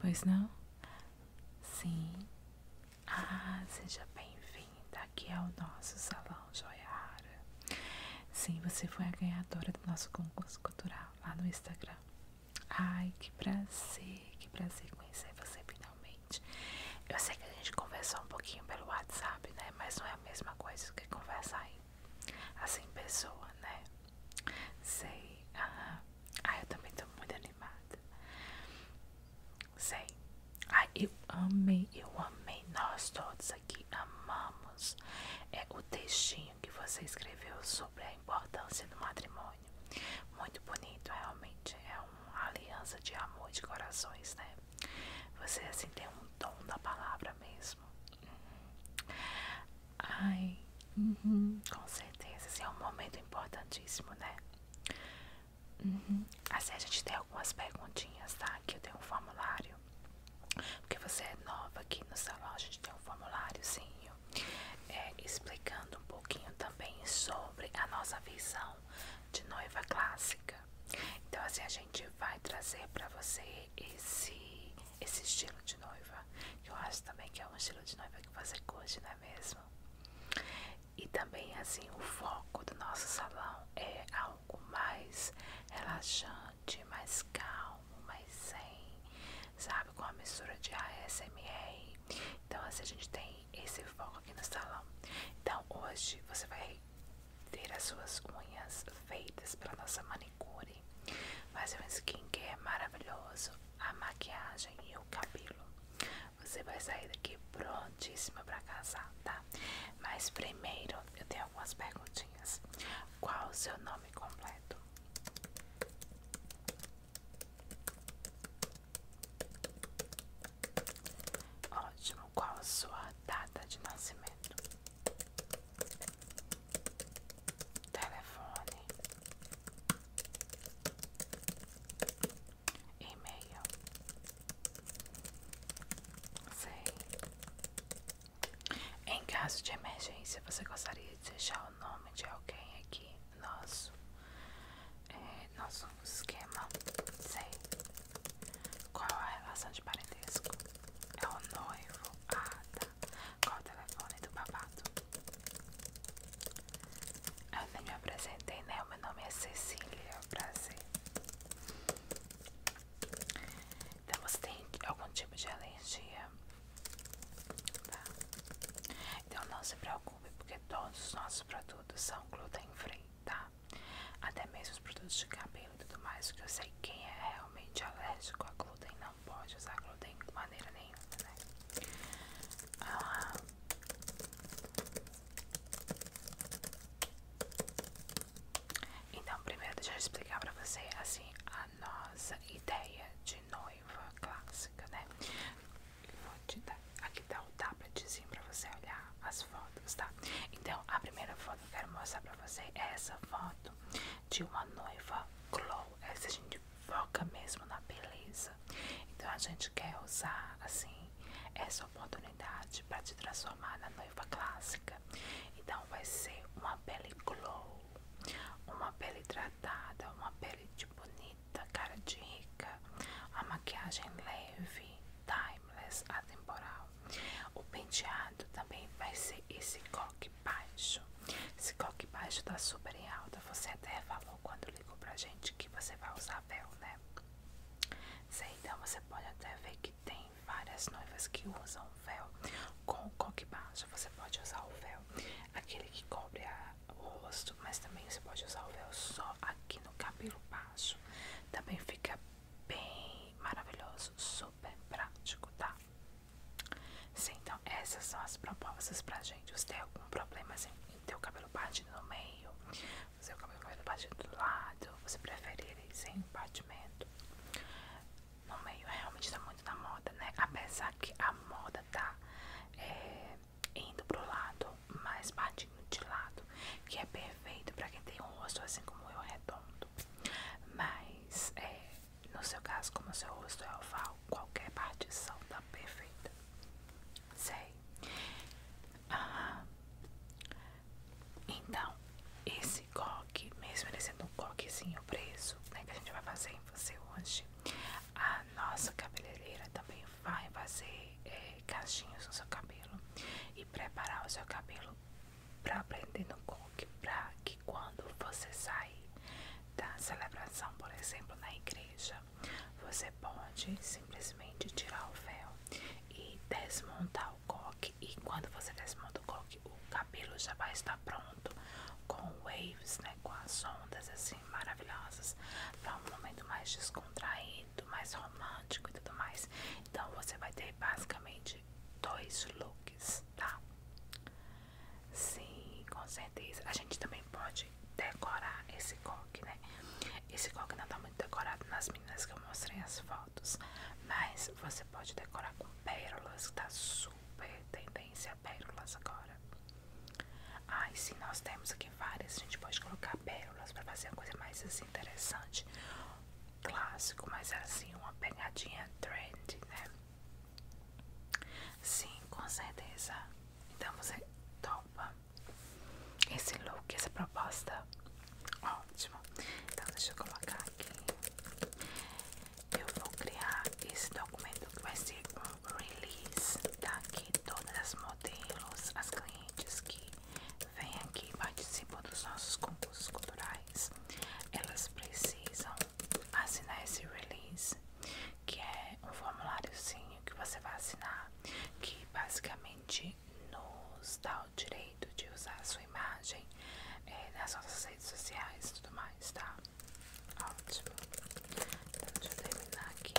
Pois não? Sim. Ah, seja bem-vinda aqui ao é nosso salão Joia Sim, você foi a ganhadora do nosso concurso cultural lá no Instagram. Ai, que prazer, que prazer conhecer você finalmente. Eu sei que a gente conversou um pouquinho pelo WhatsApp, né? Mas não é mesma coisa que conversar aí. Assim, pessoa, né? Sei. ah, Ai, eu também tô muito animada. Sei. Ai, eu amei, eu amei. Nós todos aqui amamos. É o textinho que você escreveu sobre a importância do matrimônio. Muito bonito, realmente. É uma aliança de amor de corações, né? Você assim tem um tom da palavra mesmo. Uhum. Ai, uhum, com certeza, é um momento importantíssimo, né? Uhum. Assim, a gente tem algumas perguntinhas, tá? Aqui eu tenho um formulário. Porque você é nova aqui no salão, a gente tem um formuláriozinho é, explicando um pouquinho também sobre a nossa visão de noiva clássica. Então, assim, a gente gente vai trazer para você esse, esse estilo de noiva. que Eu acho também que é um estilo de noiva que você curte, não é mesmo? E também assim, o foco do nosso salão é algo mais relaxante, mais calmo, mais sem sabe? Com a mistura de ASMR. Então assim, a gente tem esse foco aqui no salão. Então hoje você vai ter as suas unhas feitas para nossa manicure, fazer um skincare maravilhoso, a maquiagem e o cabelo. Você vai sair daqui prontíssima para casar, tá? Mas primeiro eu tenho algumas perguntinhas. Qual o seu nome completo? Ótimo. Qual a sua data de nascimento? metro, telefone, e-mail, sei. Em caso de emergência, você gostaria de deixar o nome de alguém aqui? Nosso, é, nosso esquema, sei. Qual a relação de parentesco? É o noivo. Ah, tá. Qual o telefone do babado? Eu nem me apresentei, né? meu nome é Cecília. Prazer. Então você tem algum tipo de alergia? Tá. Então não se preocupe, porque todos os nossos produtos são gluten free, tá? Até mesmo os produtos de cabelo e tudo mais, que eu sei quem é realmente alérgico a glúten não pode usar glúten de maneira nenhuma, né? Ah. então, primeiro deixa eu explicar pra você, assim, a nossa ideia de noiva clássica, né? Vou te dar, aqui tá o tabletzinho pra você olhar a fotos, tá? Então, a primeira foto que eu quero mostrar pra você é essa foto de uma noiva glow. Essa gente foca mesmo na beleza. Então, a gente quer usar, assim, essa oportunidade para te transformar na noiva clássica. Então, vai ser uma pele glow, uma pele hidratada, uma pele de bonita, cara de rica, a maquiagem leve, timeless, atemporal. O penteado também vai ser esse coque baixo. Esse coque baixo tá super em alta. Você até falou quando ligou pra gente que você vai usar véu, né? Sei, então você pode até ver que tem várias noivas que usam véu com coque baixo. Você pode usar o véu, aquele que cobre o rosto, mas também você pode usar o véu só aqui no cabelo baixo. Também fica bem maravilhoso, super prático, tá? Sim, então essas são as propostas pra gente. Você tem algum problema assim, em ter o cabelo partido no meio, você o cabelo partido do lado, você preferir ele sem batimento No meio é, realmente tá muito na moda, né? Apesar que a moda tá é, indo pro lado, mas partindo de lado, que é perfeito pra quem tem um rosto assim como eu, redondo. Mas, é, no seu caso, como o seu rosto é oval, qualquer partição tá perfeita. Sei. então, esse coque, mesmo ele sendo um coquezinho preso, né, que a gente vai fazer em você hoje, a nossa cabeleireira também vai fazer é, cachinhos no seu cabelo e preparar o seu cabelo para aprender no coque, para que quando você sair da celebração, por exemplo, na igreja, você pode simplesmente tirar o véu e desmontar o coque. E quando você desmonta o coque, o cabelo já vai estar pronto com waves, né, com as ondas assim maravilhosas, para um momento mais descontraído, mais romântico e tudo mais. Então você vai ter basicamente dois looks, tá? Sim, com certeza. A gente também pode decorar esse coque, né? Esse coque não tá muito decorado nas meninas que eu mostrei as fotos, mas você pode decorar com pérolas, que tá super tendência a pérolas agora. Ai, ah, sim, nós temos aqui várias, a gente pode colocar pérolas pra fazer uma coisa mais assim, interessante, clássico, mas é assim, uma pegadinha trend, né? Sim, com certeza. Então você topa esse look, essa proposta. Ótimo. Então deixa eu colocar aqui. Eu vou criar esse documento que vai ser um release daqui todas as modelos, as clientes que vem aqui e participa dos nossos concursos culturais, elas precisam assinar esse release, que é um formuláriozinho que você vai assinar, que basicamente nos dá o direito de usar a sua imagem eh, nas nossas redes sociais e tudo mais, tá? Ótimo. Então, deixa eu terminar aqui.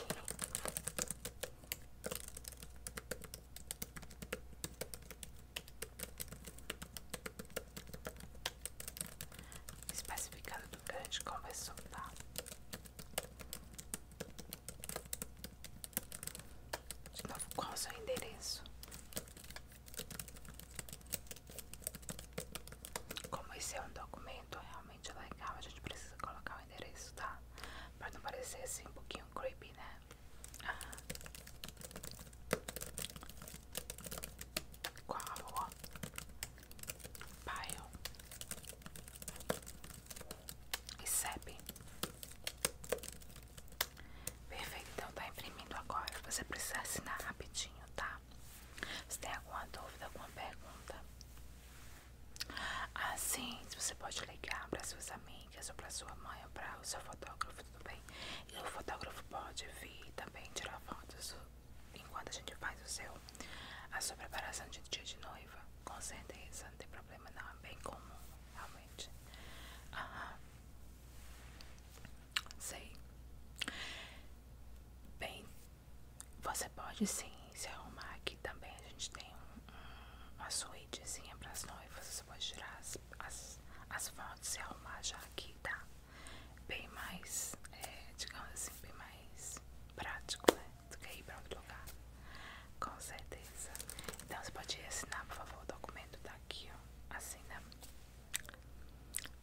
Especificado do grande conversor, tá? De novo, qual o seu endereço? Como esse é um documento realmente legal, a gente precisa colocar o endereço, tá? Pra não parecer assim um pouquinho meio creepy, né? Uhum. Pile. E sepe. Perfeito, então tá imprimindo agora. Você precisa assinar rapidinho, tá? Se tem alguma dúvida, alguma pergunta. Ah, sim, você pode ligar para suas amigas ou para sua mãe ou para o seu fotógrafo tudo E o fotógrafo pode vir também tirar fotos enquanto a gente faz o seu, a sua preparação de dia de noiva. Com certeza, não tem problema não, é bem comum, realmente. Aham. Sei. Bem, você pode sim se arrumar aqui também. A gente tem um, um, uma suítezinha para as noivas. Você pode tirar as, as, as fotos hora de se arrumar já aqui, tá? Bem mais, é, digamos assim, bem mais prático, né? Do que ir pra outro lugar. Com certeza. Então você pode assinar, por favor, o documento tá aqui, ó. né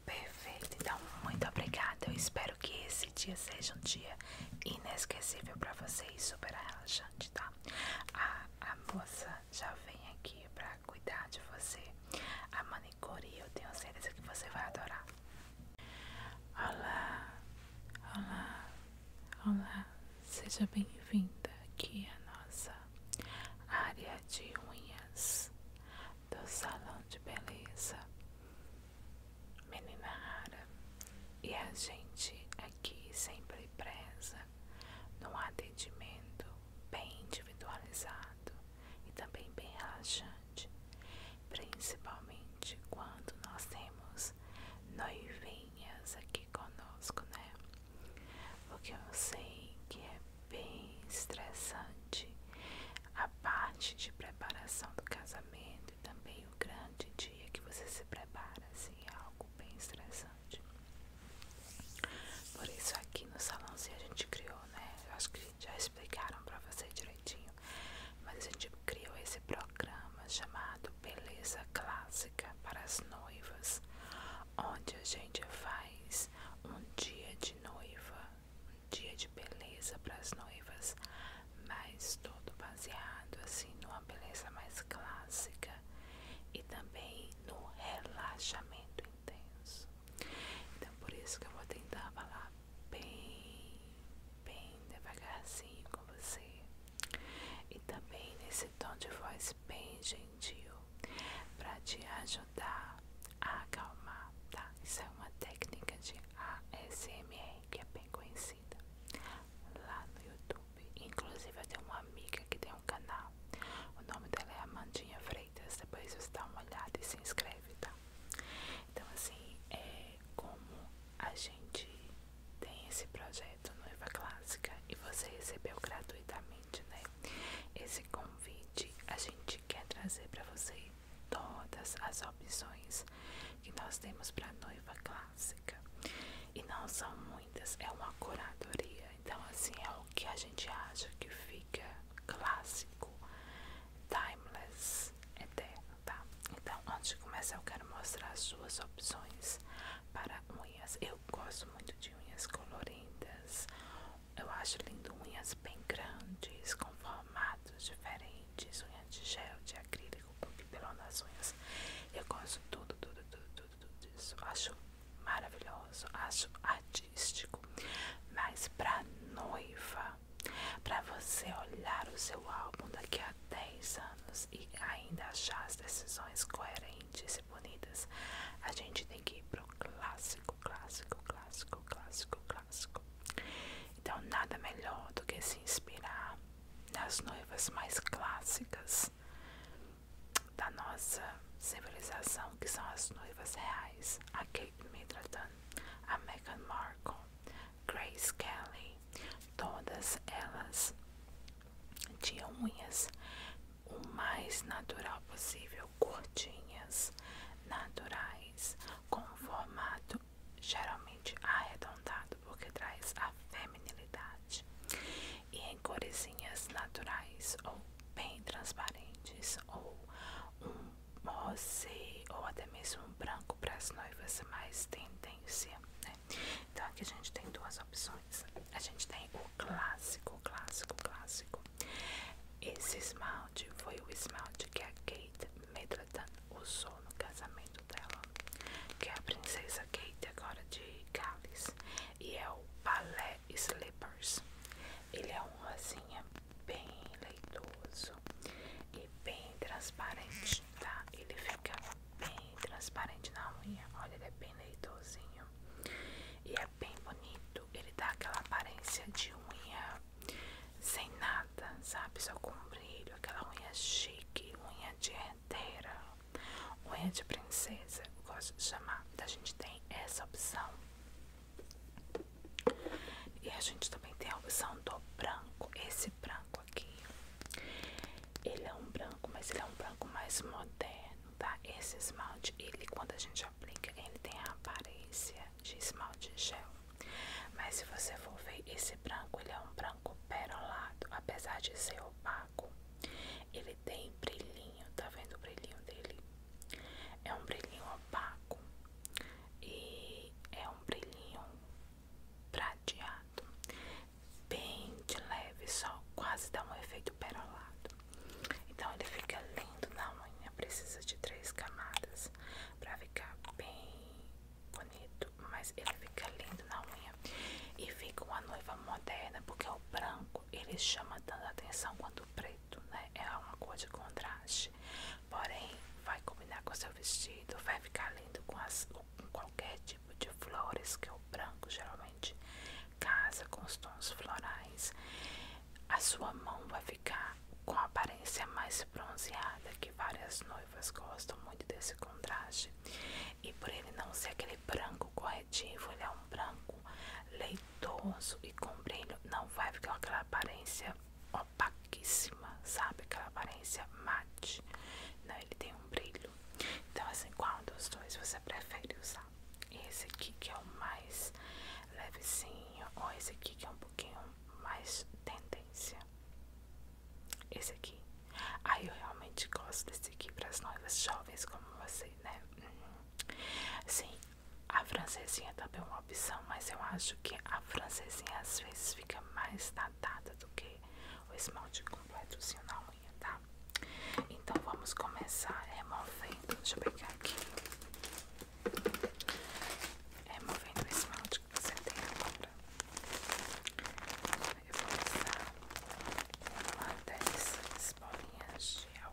Perfeito. Então, muito obrigada. Eu espero que esse dia seja um dia inesquecível pra você e super relaxante, tá? A, a moça já vem aqui pra para cuidar de você. A manicure eu tenho certeza que você vai adorar. Olá, olá, olá, seja bem-vinda aqui à nossa área de unhas do Salão de Beleza Menina Rara. E a gente aqui sempre preza num atendimento bem individualizado e também bem relaxante, principalmente quando nós temos noivinhas aqui conosco, né? Porque eu sei que é bem estressante a parte de preparação do casamento e também o grande dia que você se prepara, assim, é algo bem estressante. Por isso aqui no salão se a gente criou, né? Eu acho que já explicaram pra você direitinho. Mas a gente criou esse programa chamado Beleza Clássica para as Noivas, onde a gente faz um dia de noiva, um dia de beleza para as noivas, mas todo baseado assim numa beleza mais clássica, e também no relaxamento intenso. Então, por isso que eu vou tentar falar bem, bem devagarzinho com você e também nesse tom de voz bem gentil para te ajudar a acalmar, tá? Isso é uma técnica de ASMR que é bem conhecida lá no YouTube. Inclusive eu tenho uma amiga que tem um canal o nome dela é Amandinha Freitas, depois você dá uma olhada e se inscreve, tá? Então assim, é como a gente tem esse projeto Noiva Clássica e você recebeu gratuitamente, né? Esse convite, a gente quer trazer para você todas as opções que nós temos para noiva clássica. E não são muitas é uma curadoria. Então, assim, é o que a gente acha que fica clássico, timeless, eterno, tá? Então, antes de começar, eu quero mostrar as suas opções para unhas. Eu gosto muito de unhas coloridas, Eu acho lindo unhas bem grandes, com formatos diferentes, unhas de gel, de acrílico, com pipelonas unhas. Eu gosto de tudo, tudo, tudo tudo, isso. Acho maravilhoso, acho artístico. Mas para noiva, para você olhar o seu álbum daqui a 10 anos e ainda achar as decisões coerentes e bonitas, a gente tem que ir pro clássico, clássico, clássico, clássico, clássico. Então nada melhor do que se inspirar nas noivas mais clássicas da nossa civilização, que são as noivas reais, a Kate Middleton, a Meghan Markle, Grace Kelly, todas elas tinham unhas o mais natural possível, curtinhas, naturais, com um formato geralmente arredondado, porque traz a feminilidade em coresinhas naturais ou bem transparentes ou um rosé ou até mesmo um branco para as noivas mais tendência, né? Então aqui a gente tem duas opções. A gente tem o clássico, clássico, clássico. Esse esmalte foi o esmalte que a Kate Middleton usou no casamento dela, que é a princesa Kate agora de Gales e é o balé Slippers. Ele é um rosinha bem leitoso e bem transparente, tá? Ele fica bem transparente na unha, olha, ele é bem leitosinho e é bem bonito. Ele dá aquela aparência de unha sem nada, sabe? Só com brilho, aquela unha chique, unha de unha de princesa princesa, gosto de chamar. A gente tem essa opção. E a gente também tem a opção do branco. Esse branco aqui, ele é um branco, mas ele é um branco mais moderno, tá? Esse esmalte, ele quando a gente aplica, ele tem a aparência de esmalte gel. Mas se você for ver, esse branco, ele é um branco perolado, apesar de ser opaco ele tem brilhinho, tá vendo o brilhinho dele? É um brilhinho opaco e é um brilhinho prateado, bem de leve, só quase dá um efeito perolado. Então ele fica lindo na unha, precisa de três camadas para ficar bem bonito, mas ele fica lindo na unha e fica uma noiva moderna porque é o branco ele chama tanto atenção quanto o preto, né? É uma cor de contraste. Porém, vai combinar com seu vestido, vai ficar lindo com, as, com qualquer tipo de flores, que é o branco geralmente casa com os tons florais. A sua mão vai ficar com a aparência mais bronzeada, que várias noivas gostam muito desse contraste. E por ele não ser aquele branco correto corretivo, ele é um branco leitoso e com brilho, não vai ficar aquela aparência opaquíssima, sabe? Aquela aparência mate. Não, ele tem um brilho. Então, assim, qual dos dois você prefere usar? Esse aqui que é o mais levezinho, ou esse aqui que é um pouquinho mais tendência? Esse aqui. Aí eu realmente gosto desse aqui para as noivas jovens como você, né? Uhum. Sim, a francesinha também é uma opção, mas eu acho que a francesinha às vezes fica mais datada do que o esmalte completozinho na unha, tá? Então vamos começar removendo, deixa eu pegar aqui, removendo o esmalte que você tem agora. Eu vou usar uma dessas bolinhas de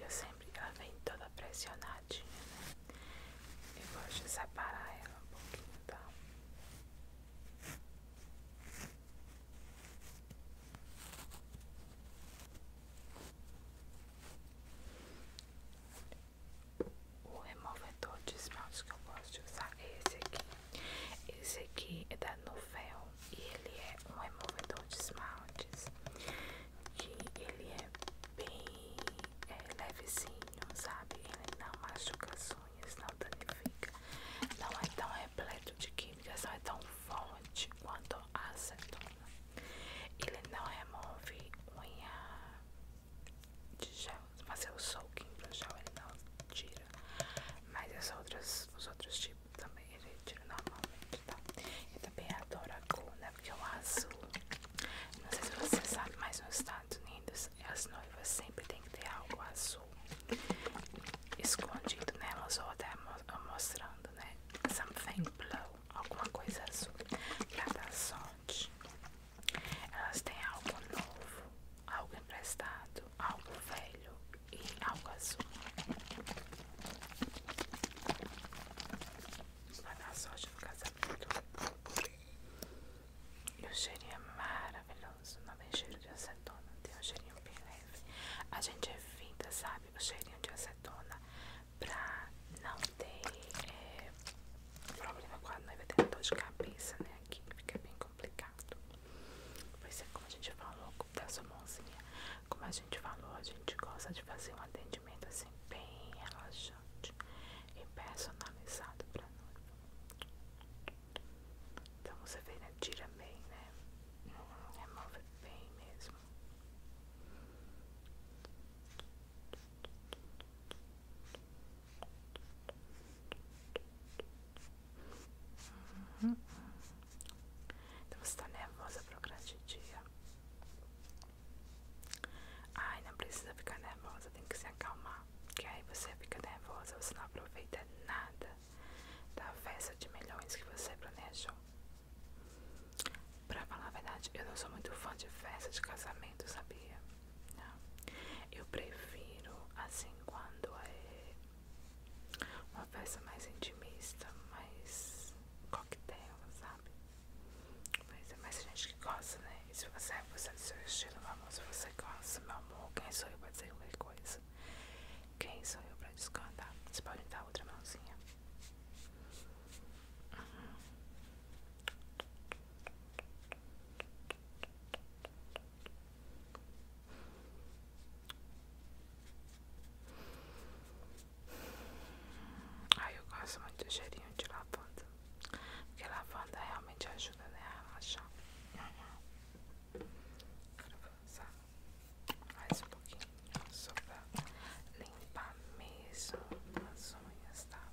Eu sempre, ela vem toda pressionadinha, né? Eu gosto separar ela um pouquinho, tá? o removedor de esmalte que eu gosto de usar é esse aqui. Esse aqui é da Novel e ele é um removedor de esmaltes ele é bem é, sabe? Ele não machuca as unhas, não danifica, não é tão repleto de químicas, não é tão forte quanto a acetona. Ele não remove unha de gel, fazer o soaking para o gel, ele não tira. Mas as outras, os outros tipos também ele tira normalmente, tá? Eu também adoro a cor, né? Porque é o azul. Não sei se você sabe, mas nos Estados Unidos as noivas sempre tem que ter algo azul escondido nelas ou até mostrando, né? Something blue, alguma coisa azul para dar sorte. Elas têm algo novo, algo emprestado, algo velho e algo azul. Vai dar sorte no casamento. E o cheirinho é maravilhoso. Não tem cheiro de acetona, tem um cheirinho bem leve. A gente é evita, sabe, o cheirinho de acetona pra não ter eh, problema com a noiva, tem dor de cabeça, né? Aqui fica bem complicado. Pois é, como a gente falou, da sua mãozinha, como a gente falou, a gente gosta de fazer um atendimento assim, bem relaxante e personalizado pra noiva. Então você vê, né? Tira bem, né? Remove bem mesmo. Então, Uhum. Então você tá nervosa pro grande dia. Ai, não precisa ficar nervosa, tem que se acalmar. porque aí você fica nervosa, você não aproveita nada da festa de milhões que você planejou. Pra falar a verdade, eu não sou muito fã de festa de casamento, sabia? É. Eu prefiro assim quando é uma festa mais intimista, mais coquetel, sabe? Mas é mais gente que gosta, né? E se você é você é do seu estilo, meu amor, se você gosta, meu amor, quem sou eu pra dizer qualquer coisa? Quem sou eu pra descontar? Você pode dar outra mãozinha. Uhum. Ai, eu gosto muito do cheirinho de lavanda. Porque lavanda realmente ajuda, né? A relaxar. Quero avançar mais um pouquinho só pra limpar mesmo as unhas, tá?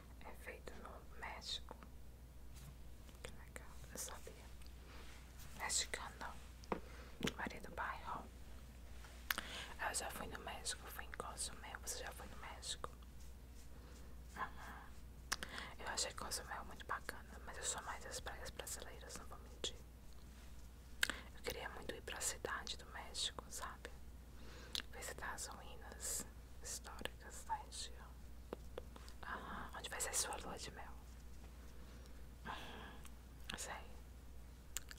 É feito no México. Que legal, eu sabia. Mexicano não. do bairro. Eu já fui no México, fui em Cozumel. Você já foi no México? Eu achei Cozumel muito bacana, mas eu sou mais das praias brasileiras, não vou mentir. Eu queria muito ir pra cidade do México, sabe? visitar as ruínas históricas da tá, região. onde vai ser sua lua de mel? sei.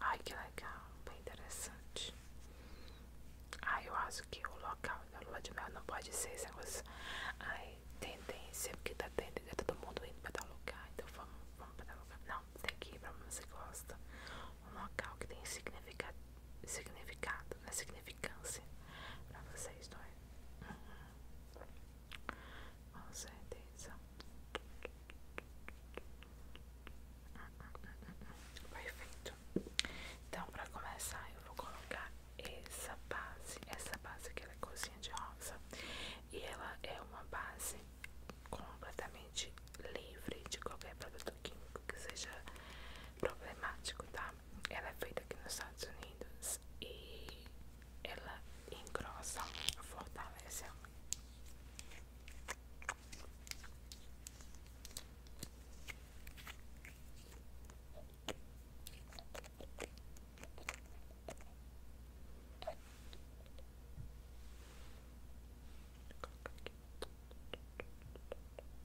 Ai, que legal, bem interessante. ai eu acho que o local da lua de mel não pode ser esse negócio. Ai, tendência, porque tá tendência, é todo mundo indo pra tal lugar, então vamos, vamos pra tal lugar. Não, tem que ir pra onde você gosta. Um local que tem significado significado, na né? significância para vocês dois. É? Uhum. Com certeza. Perfeito. Então, para começar, eu vou colocar essa base. Essa base que ela é cozinha de rosa. E ela é uma base completamente livre de qualquer produto químico que seja problemático, tá? Ela é feita aqui nos Estados Unidos e ela engrossa fortalece a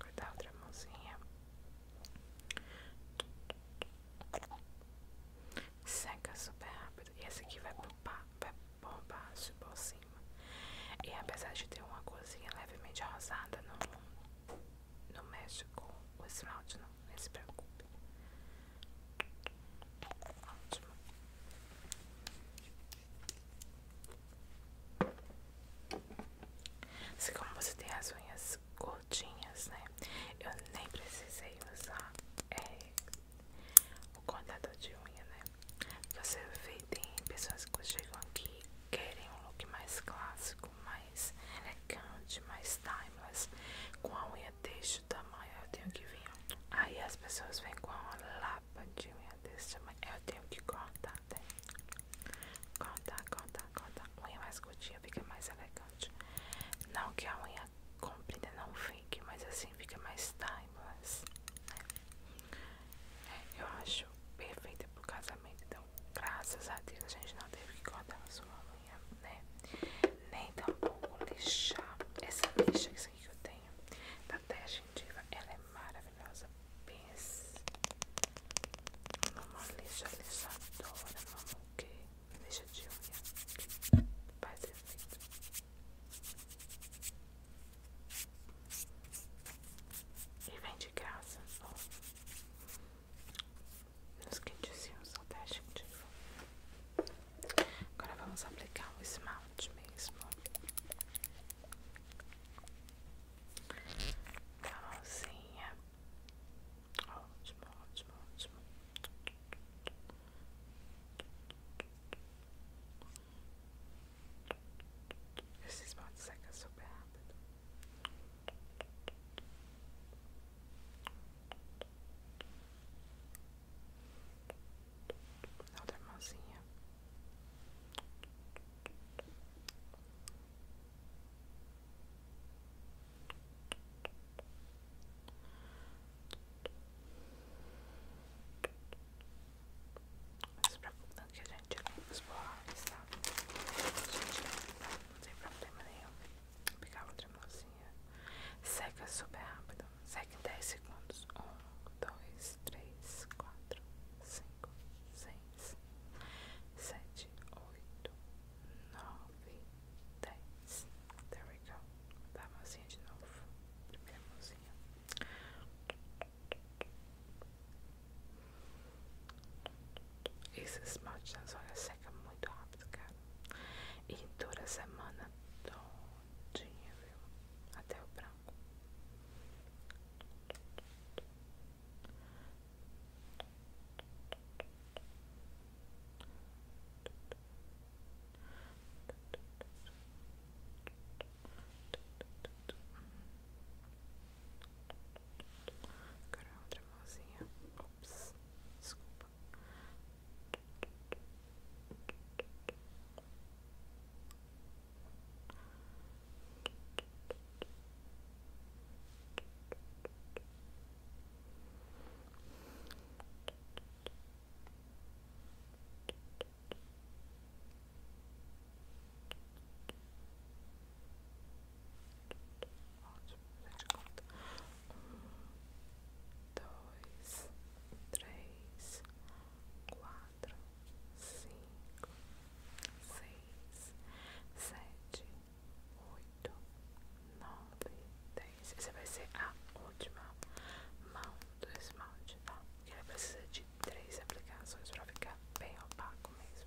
Vou dar outra mãozinha. Seca super rápido. E esse aqui vai bombar, vai bombar por cima. E apesar de ter uma coisinha levemente arrasada no não mexe com o esmalte, não. Não se preocupe. Ótimo. Se como você tem as unhas gordinhas, né? Eu nem precisei usar é, o contador de unha, né? Você vê, tem pessoas que chegam aqui querem um look mais clássico, mais elegante, mais timeless. Com a unha deixa o tamanho eu tenho que vir. Aí as pessoas vêm com uma lapa de eu tenho que cortar, né? Cortar, cortar, cortar. Unha mais curtinha fica mais elegante. Não que a unha comprida não fique, mas assim fica mais timeless. Né? É, eu acho perfeita pro casamento. Então, graças a Deus, a gente não teve que cortar a sua unha, né? Nem tampouco lixar. Essa lixa que eu tenho tá estratégia indiva, ela é maravilhosa. Pense numa lixa lixadora, o que lixa de unha que faz efeito. E vem de graça no, nos que diziam estratégia indiva. Agora vamos aplicar o esmalte mesmo. A tá mãozinha. Ótimo, ótimo, ótimo. Esse esmalte seca super rápido outra mãozinha. Não se preocupando que a gente limpa os borrões, não tem problema nenhum. Vou pegar outra mãozinha. Seca super rápido. Segue 10 segundos. 1, 2, 3, 4, 5, 6, 7, 8, 9, 10. There we go. Dá a mãozinha de novo. Primeira mãozinha. Esse esmalte nas olhas seca muito rápido, cara. E dura a semana todinha, viu? Até o braço branco. Agora outra mãozinha. Ops, desculpa um, dois, três, quatro quatro, cinco, seis, sete, oito, nove, dez. Essa vai ser a última mão do esmalte, tá? Ele precisa de três aplicações pra ficar bem opaco mesmo.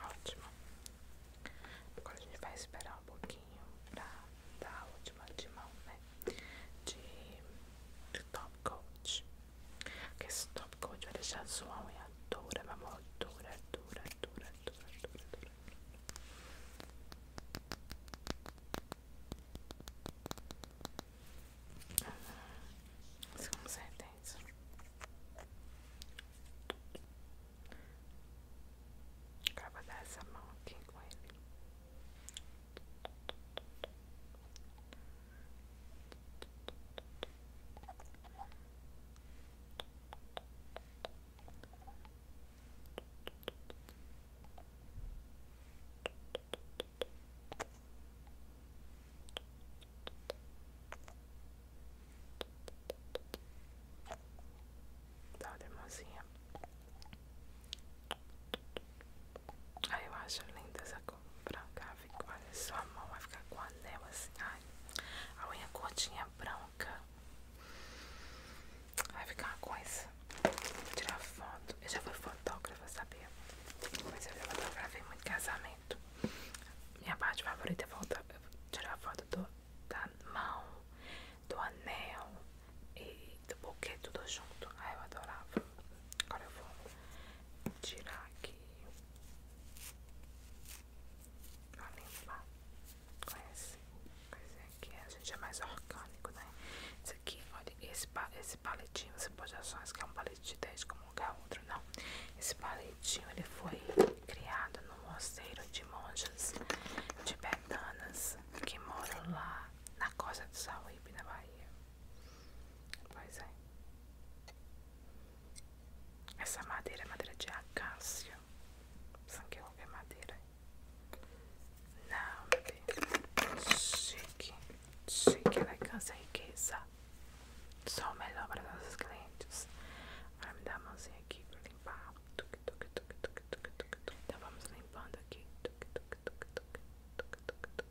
Ótimo. Agora a gente vai esperar um pouquinho pra dar a última de mão, né? De, top coach Porque esse top coat vai deixar sua unha dura, meu amor. Dura, dura, dura, dura, dura, dura. Com certeza. Acaba dar essa mão aqui com ele. Dá uma mãozinha. Aí ah, eu acho linda essa cor branca. Olha só, a mão vai ficar com anel assim. a unha curtinha branca. Vai ficar uma coisa Vou tirar foto. Eu já fui fotógrafa, sabia? Mas eu já fotografei muito casamento. Minha parte favorita é tirar foto do, da mão, do anel e do bouquet tudo junto. aí ah, eu adorava. Agora eu vou tirar aqui. Vou limpar com esse é, aqui a gente é mais orgânico, né? Esse aqui, olha, esse, esse paletinho você pode achar que é um palete de 10 como um lugar outro, não. Esse paletinho ele foi criado no mosteiro de monjas tibetanas que moram lá na costa do Sauípe, na Bahia. Pois é. Essa madeira é madeira de acácia. Sangue é madeira. Não, bebê. Chique. Chique, elegância e riqueza. Só o melhor para nossos clientes. Agora me dá a mãozinha aqui para limpar. Tuc, tuc, tuc, tuc, tuc, tuc, tuc. Então vamos limpando aqui. Tuc, tuc, tuc, tuc, tuc, tuc, tuc, tuc, tuc.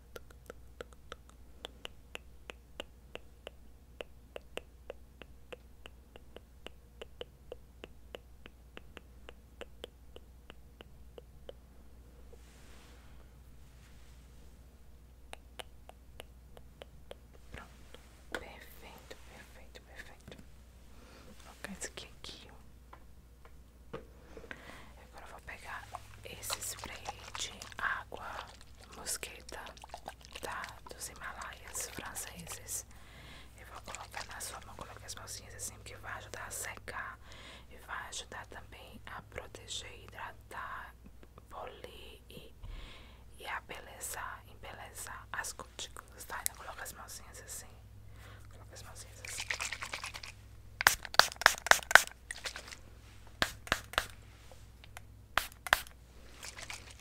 Pronto, perfeito, perfeito, perfeito. Vou colocar isso aqui. É Agora eu vou pegar esse spray de água mosqueta tá? dos Himalaias franceses. Eu vou colocar na sua mão, coloque as mãozinhas assim, porque vai ajudar a secar e vai ajudar também a proteger, hidratar, polir e, e a belezar, embelezar as cutículas, tá? Então as mãozinhas assim, coloca as mãozinhas assim.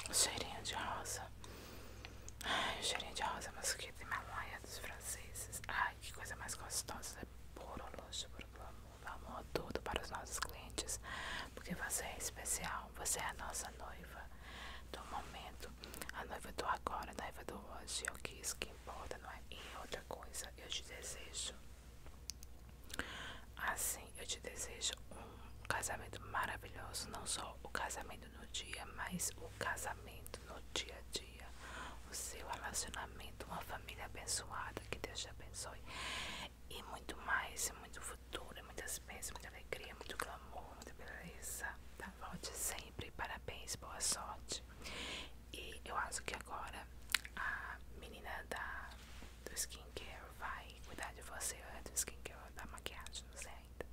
O cheirinho de rosa. Ai, o cheirinho de rosa mosquita e mamãe dos franceses. Ai, que coisa mais gostosa. É puro luxo, puro amor, é amor todo para os nossos clientes. Porque você é especial, você é a nossa noiva do momento. A noiva do agora, a noiva do hoje. É o que isso que importa, não é? E outra coisa, eu te desejo. Assim, eu te desejo um casamento maravilhoso, não só o casamento no dia, mas o casamento no dia a dia, o seu relacionamento, uma família abençoada, que Deus te abençoe e muito mais, e muito futuro, muitas bênçãos, muita alegria, muito glamour, muita beleza. Tá? Volte sempre, parabéns, boa sorte e eu acho que agora a menina da, do skincare vai cuidar de você, ou é do skincare ou da maquiagem, não sei ainda.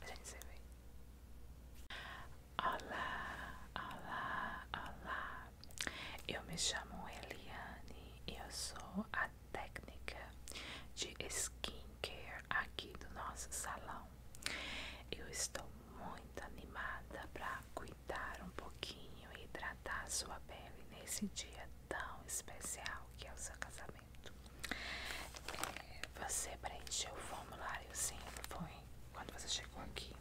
A gente se vê. Olá, olá, olá. Eu me chamo Eliane e eu sou a técnica de skincare aqui do nosso salão. Eu estou muito animada para cuidar um pouquinho e hidratar sua pele nesse dia tão especial que é o seu casamento. É, você preencheu o formuláriozinho, foi quando você chegou aqui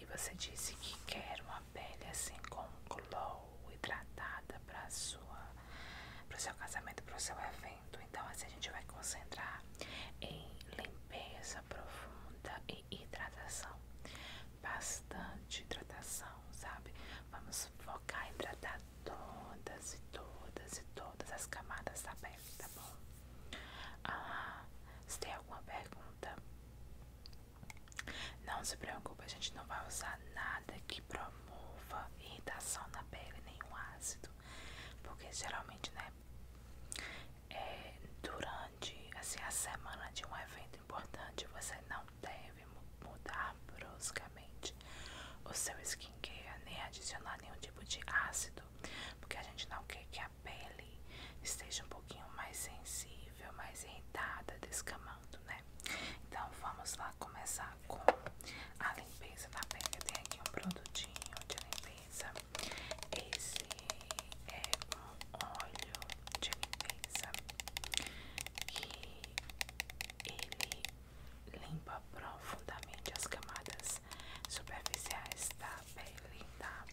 e você disse que quer uma pele assim com glow, hidratada para sua para o seu casamento, para o seu evento. Então assim a gente vai concentrar em limpeza profunda e hidratação. Bastante hidratação, sabe? Vamos focar em hidratar todas e todas e todas as camadas da pele, tá bom? Ah, se tem alguma pergunta, não se preocupe, a gente não vai usar nada que promova irritação na pele, nenhum ácido, porque geralmente, né? durante assim, a semana de um evento importante, você não deve mudar bruscamente o seu skincare, nem adicionar nenhum tipo de ácido, porque a gente não quer que a pele esteja um pouquinho mais sensível, mais irritada, descamando, né? Então vamos lá começar com a limpeza da pele. Eu tenho aqui um produtinho de limpeza. Esse é um óleo de limpeza que ele limpa profundamente as camadas superficiais da pele, tá?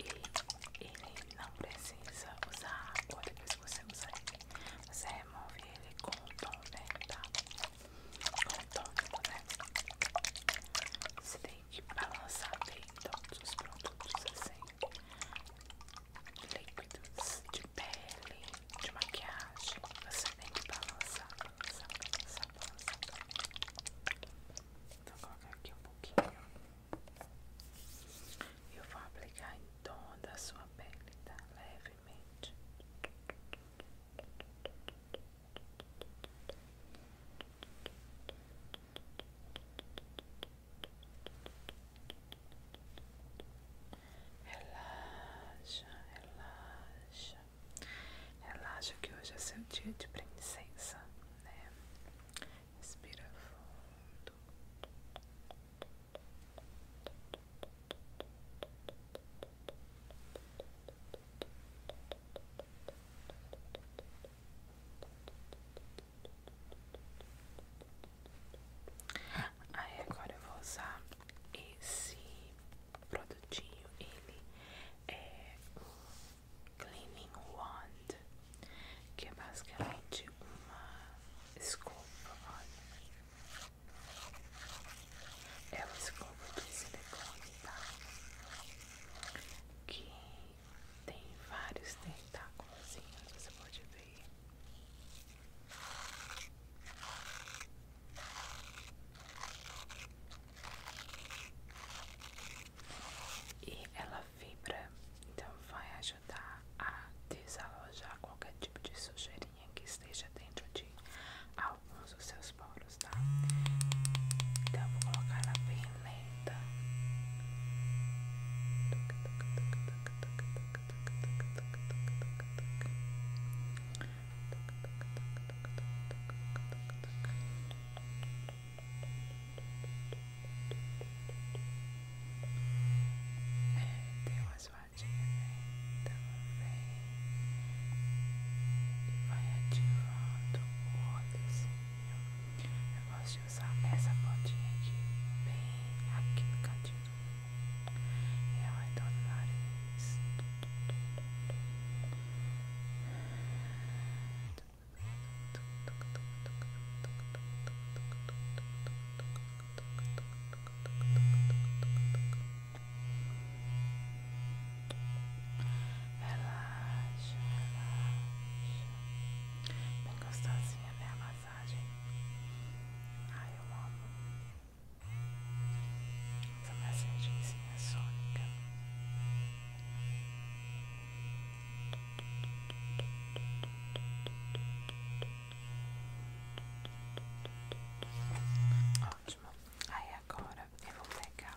E ele não precisa usar água depois você Você remove ele com o tônico, né, tá? Com o tônico, né? e balançar bem todos os produtos assim, líquidos de pele, de maquiagem. Você tem que balançar, balançar, balançar, balançar. Vou então, colocar aqui um pouquinho. e Eu vou aplicar em toda a sua pele, tá? Levemente. Relaxa, relaxa, relaxa que hoje é seu dia de princesa. né? Respira fundo. Aí agora eu vou usar esse produtinho, ele é o Cleaning Wand, que é basicamente uma escova, olha. É uma escova de silicone, tá? que tem vários tentáculos, você pode ver. E ela vibra, então vai ajudar a desalojar qualquer tipo de sujeirinha que esteja dentro de alguns dos seus poros óculos, tá? Então vou colocar ela bem lenta. É, e vai ativando o assim. Eu gosto de usar essa pontinha aqui, bem aqui no cantinho do olho e ao redor do nariz. Muito Relaxa, relaxa. Bem gostosinha, né? A massagem. Ai, eu amo. Essa massagenzinha sônica. Ótimo. Aí agora eu vou pegar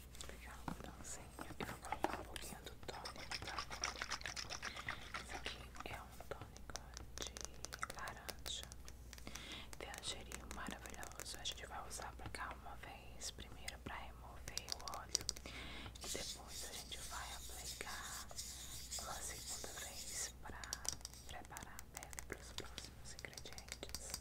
pegar um franzinho e vou colocar um pouquinho do tônico, tá? Isso aqui é um tônico de laranja. Tem um cheirinho maravilhoso. A gente vai usar pra cá uma vez, primeiro pra remover o óleo. E depois a gente vai aplicar uma segunda vez pra preparar a pele pros próximos ingredientes.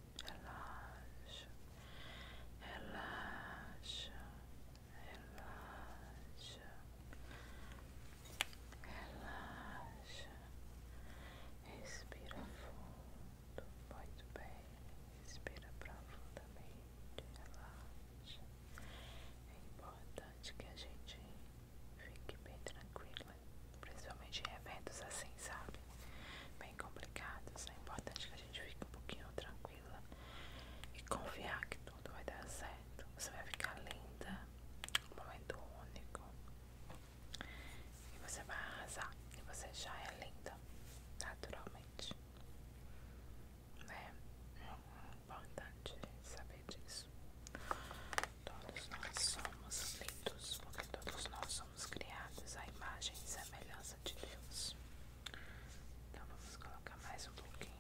relaxa, relaxa, relaxa, relaxa, respira fundo, muito bem, respira profundamente, relaxa. É importante que a gente fique bem tranquila, principalmente em eventos assim, sabe? bem complicados. É importante que a gente fique um pouquinho tranquila e confiar que tudo vai dar certo. Você vai ficar linda, um momento único. E você vai arrasar. E você já é linda, naturalmente. Né? É importante saber disso. Todos nós somos lindos, porque todos nós somos fomos criados a imagem e semelhança de Deus. Então vamos colocar mais um pouquinho.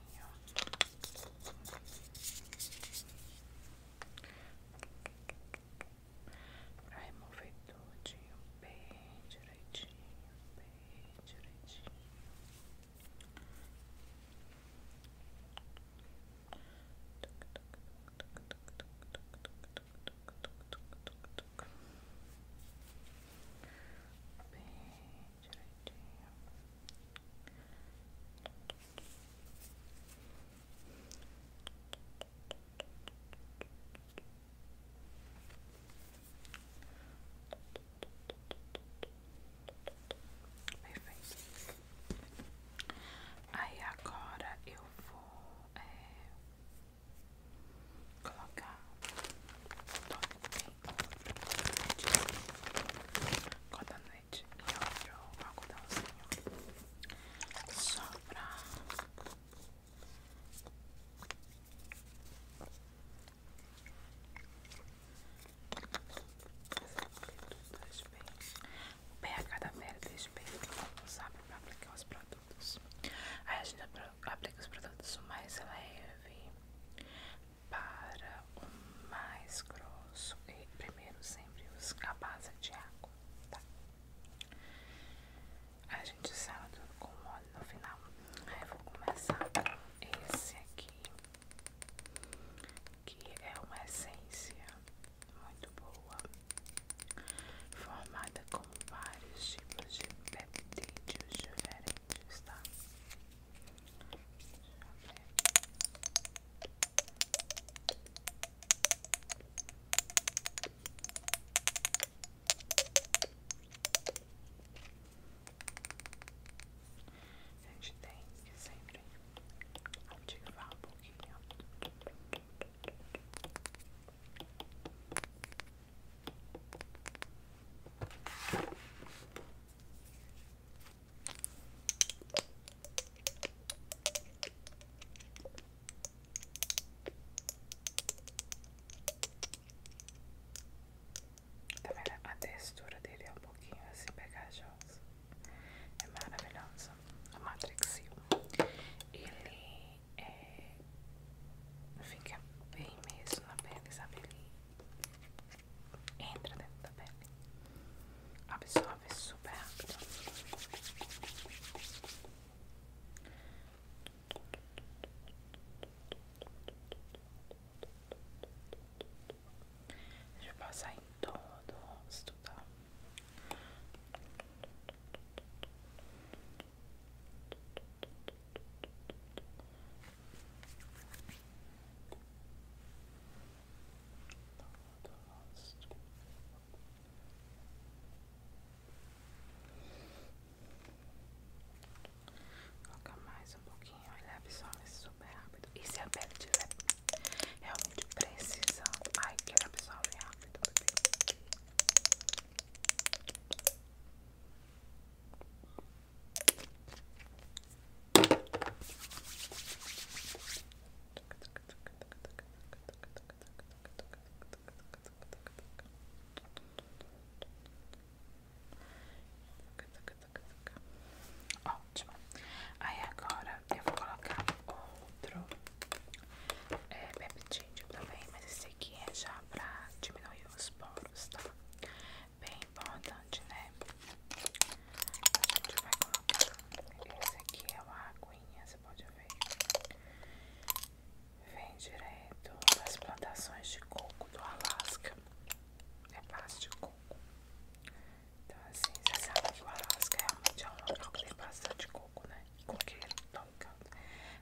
Pra remover todinho bem direitinho, bem direitinho. Bem direitinho. Perfeito. Aí agora eu vou é, colocar cotonete e outro algodãozinho só pra o pH da pele deixa bem como sabe para aplicar os produtos Aí a gente aplica os produtos mais leve para o mais grosso. E primeiro sempre os a base de água, tá? A gente sala tudo com óleo no final. Aí eu vou começar com esse aqui, que é uma essência muito boa, formada vários tipos de peptídeos diferentes, tá? A gente tem que sempre ativar um pouquinho também tá A textura dele é um pouquinho assim pegajosa. É maravilhosa. A Matrix Ele é, fica bem mesmo na pele, sabe? Ele entra dentro da pele, absorve super rápido. Deixa eu passar em todo o rosto, tá? Coloca mais um pouquinho, ele absorve super rápido. E se a pele tiver né? realmente precisando, ai que ele absorve rápido, bebê. Ótimo. Aí agora eu vou colocar outro é, peptídeo também, mas esse esse aqui é já pra diminuir os poros, tá? Bem importante, né? A gente vai colocar. Esse aqui é uma aguinha, você pode ver. Vem direto das plantações de coco do Alasca. É base de coco. Então, assim, você sabe que o Alasca realmente é um local que tem bastante coco, né? Coqueiro atômica.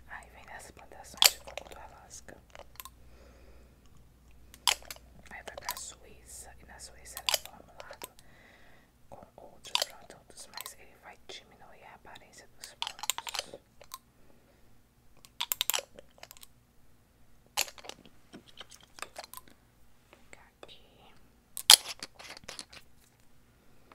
Aí vem das plantações de coco da Alasca. Aí vai pra Suíça. E na Suíça ela é formulado com outros produtos, mas ele vai diminuir a aparência dos produtos. aqui.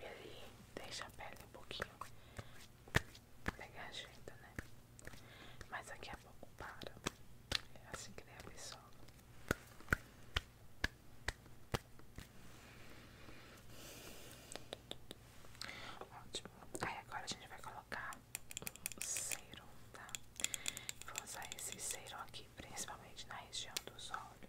ele deixa a pele um pouquinho pegajeita, né? Mas daqui a é pouco para. É assim que ele absorve. Ótimo. Aí agora a gente vai colocar um cero, tá? Vou usar esse cero aqui, principalmente na região dos olhos.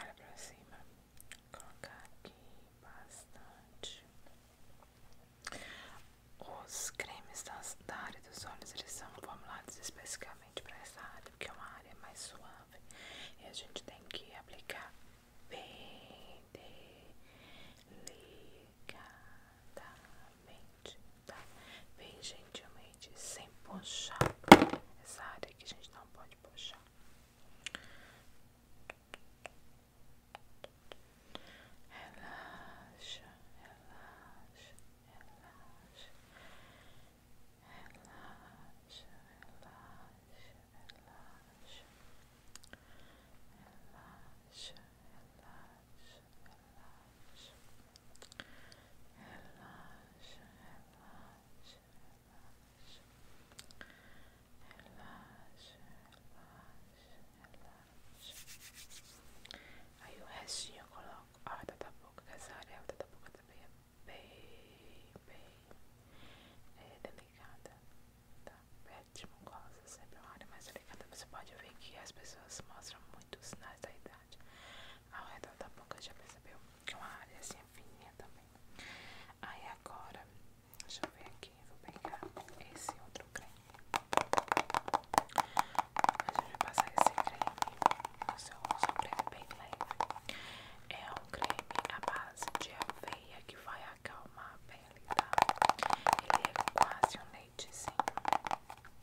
Olha pra cima. Vou colocar aqui bastante. Os cremes da área dos olhos, eles são formulados especificamente para essa área, porque é uma área mais suave. E a gente tem que aplicar bem delicadamente tá? Vem gentilmente, sem puxar essa área que a gente não pode puxar. relaxa, relaxa, relaxa, relaxa, relaxa, relaxa relaxa, relaxa, relaxa, relaxa, relaxa, relaxa. Aí o restinho eu coloco a horta da boca, que essa área da boca também é bem, bem é delicada, tá? Perto é de mucosa sempre é uma área mais delicada. Você pode ver que as pessoas mostram muitos sinais da idade. Ao redor da boca já percebeu é uma área assim fininha também. Aí agora, deixa eu ver aqui, vou pegar esse outro creme. A gente vai passar esse creme no seu rosto, bem leve. É um creme à base de aveia que vai acalmar a pele, tá? Ele é quase um leitezinho.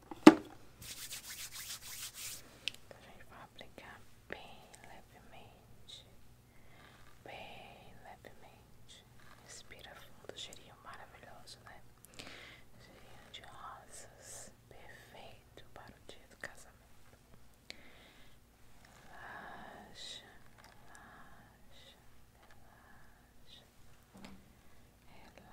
Então a gente vai aplicar bem levemente, bem levemente. Respira fundo, cheirinho maravilhoso, né? Cheirinho de rosas, perfeito para o dia do casamento. relaxa, relaxa, relaxa, relaxa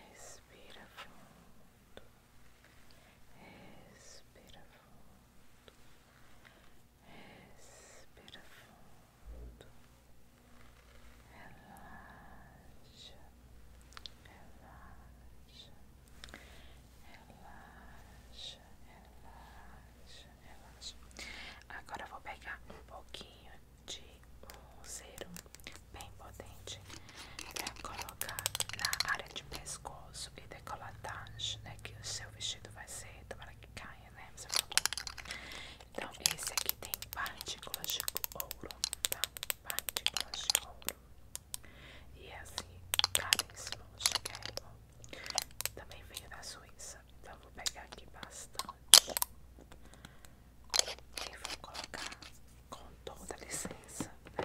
Respira fundo. Respira fundo. Respira fundo. Relaxa. Relaxa. Relaxa. Relaxa. Relaxa. Agora eu vou pegar um pouquinho de um zero bem potente para colocar na área de pescoço e decoladagem, né? Que o seu vestido vai ser, tomara que caia, né? Você então, esse aqui tem partículas de ouro, tá? Partículas de ouro. E é assim, caríssimo, chiquérrimo. Também veio da Suíça. Então, vou pegar aqui bastante. E vou colocar com toda licença, né?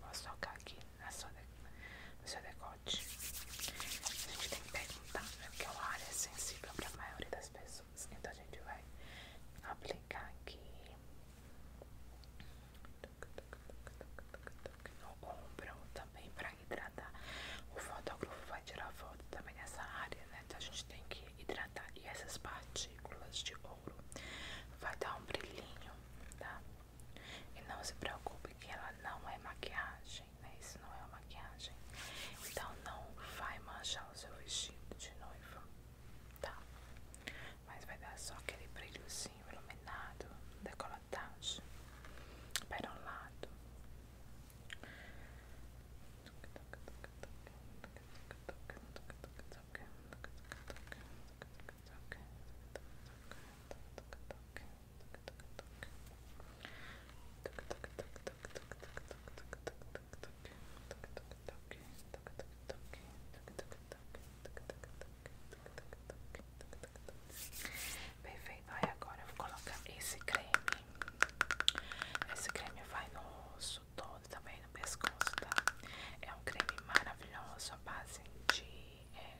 Posso tocar aqui na sua de... no seu decote. A gente tem que perguntar, né? que é uma área sensível para a maioria das pessoas. Então a gente vai aplicar aqui no ombro também para hidratar. O fotógrafo vai tirar foto também nessa área, né? Então a gente tem que hidratar. E essas partículas de ouro vai dar um brilhinho, tá? E não se preocupe que ela não é maquiagem, né? Isso não é maquiagem. Então não vai manchar o seu vestido de noiva, tá? Mas vai dar só aquele brilhozinho iluminado, para um lado. Perfeito, aí agora eu vou colocar esse creme. Esse creme vai no todo, também no pescoço, tá? É um creme maravilhoso à base de é,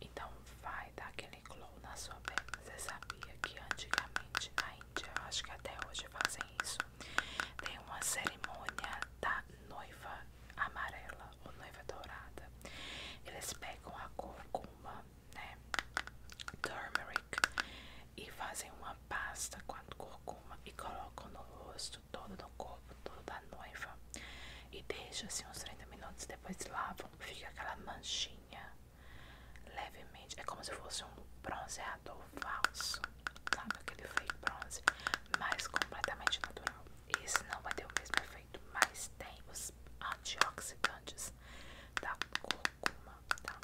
Então vai dar aquele glow na sua pele. Você sabia que antigamente na Índia, acho que até hoje fazem isso, tem uma cerimônia da noiva amarela ou noiva dourada. Eles pegam a curcuma, né? Turmeric e fazem uma pasta com a curcuma e colocam no rosto, todo no corpo, todo da noiva e deixa assim uns 30 minutos, depois lavam, fica aquela manchinha levemente, é como se fosse um bronzeador falso, sabe aquele fake bronze, mas completamente natural. Esse não vai ter o mesmo efeito, mas tem os antioxidantes da cor alguma, tá?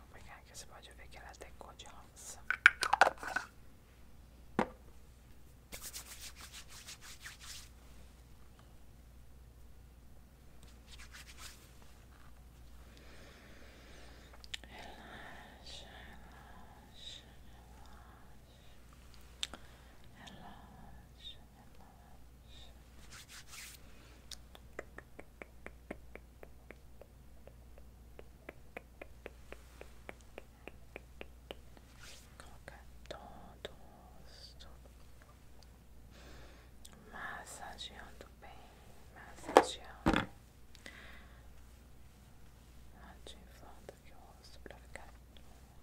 Vou você pode ver que ela é cor de rosa relaxa, relaxa, relaxa, relaxa, relaxa. Colocar todo o rosto, massageando bem, massageando. Ativando aqui o rosto pra ficar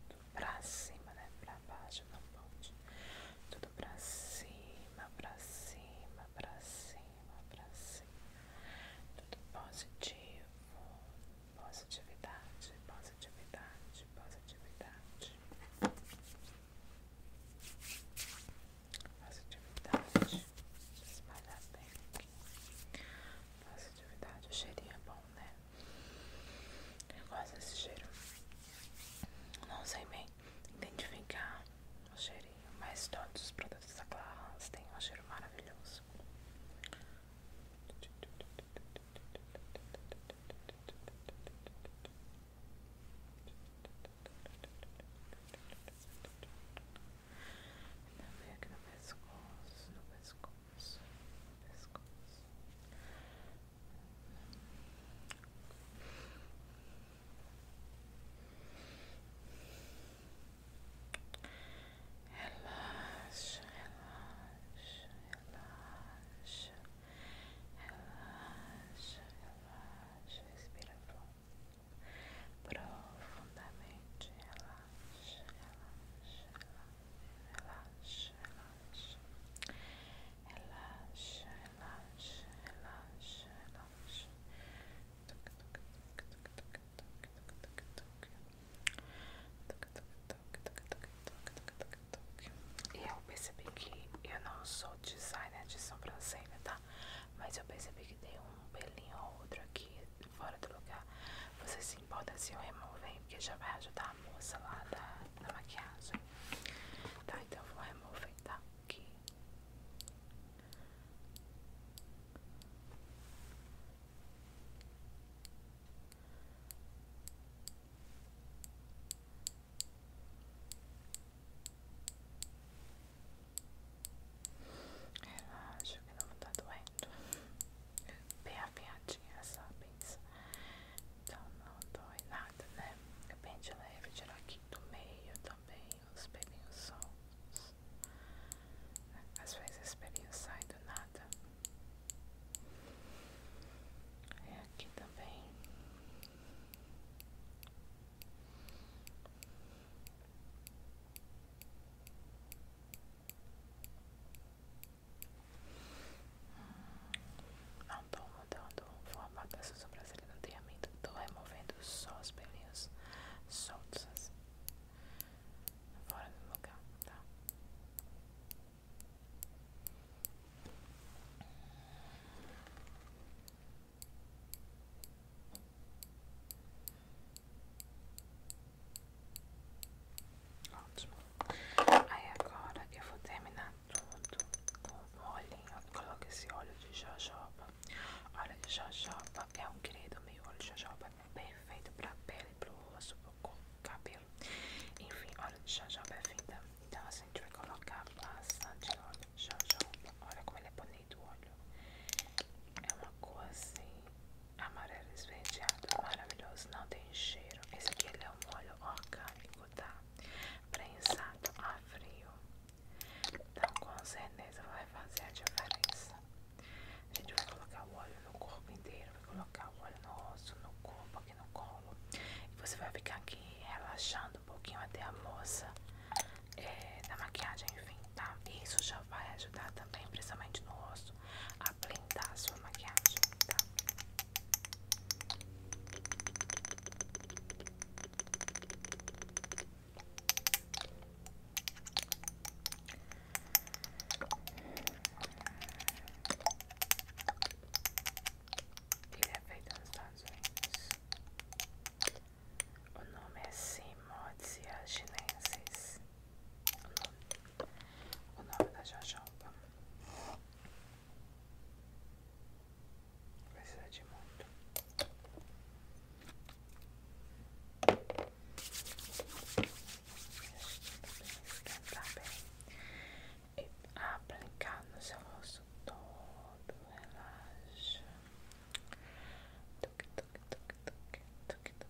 tudo pra cima, né? Pra baixo, não ponte. Tudo pra cima, pra cima, pra cima, pra cima. Tudo positivo. Positividade, positividade, positividade. Positividade. Espalhar bem aqui. Positividade. O cheirinho é bom, né? Eu gosto desse cheiro. Não sei bem identificar o cheirinho, mas todos os produtos da Clarins têm um cheiro maravilhoso. Também aqui no pescoço, no pescoço, no pescoço. Relaxa, relaxa, relaxa, relaxa, relaxa, respira fundo. Profundamente relaxa, relaxa, relaxa, relaxa, relaxa, relaxa, relaxa, relaxa. Toque, toque, toque, toque, toque, toque, toque, toque. Toque, toque, toque, toque, toque, toque, toque, toque. E eu percebi que eu não sou designer de sobrancelha, tá? Mas eu percebi que tem um pelinho ou outro aqui fora do lugar, Você se importa se eu remover, porque já vai ajudar a moça lá da, maquiagem. Tá, então eu vou remover, tá? Aqui. Tá, ela que não tá doendo. Bem afiadinha, sabe? Então não dói nada, né? É bem de leve, tirar aqui do meio também os pelinhos soltos. Às vezes os pelinhos sai do nada. É aqui também. Hum, não estou mudando o formato da sobrancelha, não tem amido. Estou removendo só os pelinhos soltos assim, fora do lugar, tá? Ótimo. Aí agora eu vou terminar tudo com o olhinho. coloca esse óleo de jojoba. Óleo de jojoba é um querido meu. Óleo de jojoba é perfeito pra pele, pro rosto, pro corpo, cabelo. Enfim, óleo de jojoba é vida. Então assim, a gente vai colocar bastante óleo de jojoba. Olha como ele é bonito carne do óleo. É uma cor assim, amarelo esverdeado, maravilhoso, não tem cheiro. Esse aqui ele é um óleo orgânico, tá? Prensado a frio. Então com certeza vai fazer a diferença. A gente vai colocar o óleo no corpo inteiro, vai colocar o óleo no rosto, no corpo, aqui no colo. E você vai ficar aqui relaxando um pouquinho até a moça é, da maquiagem, enfim, tá? E isso já vai ajudar também, precisamente no rosto, a blindar a sua maquiagem, tá? Ele é feito nos Estados Unidos. O nome é Simotia chinensis. O nome, o nome da jojoba. Precisa de muito. Esquentar bem. E aplicar no seu rosto todo. Relaxa. Tuc, tuc, tuc, tuc, tuc, tuc,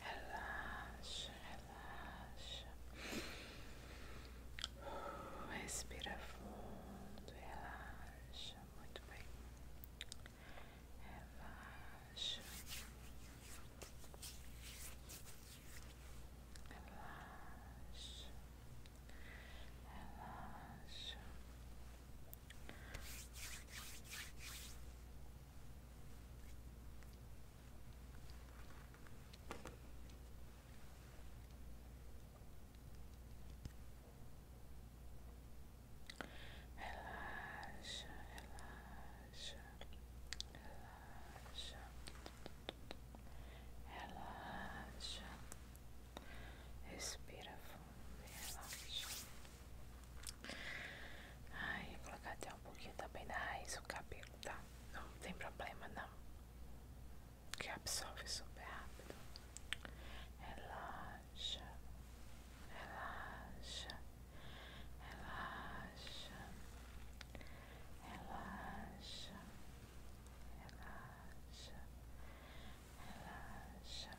Relaxa, relaxa. Respira fundo, relaxa. Muito bem. Relaxa. Relaxa. Relaxa. Relaxa, relaxa, relaxa, relaxa, respira fundo relaxa, Ai, vou colocar até um pouquinho também na raiz o cabelo, tá? Não tem problema não. Que absorve super rápido. Relaxa. Relaxa. Relaxa. Relaxa. Relaxa.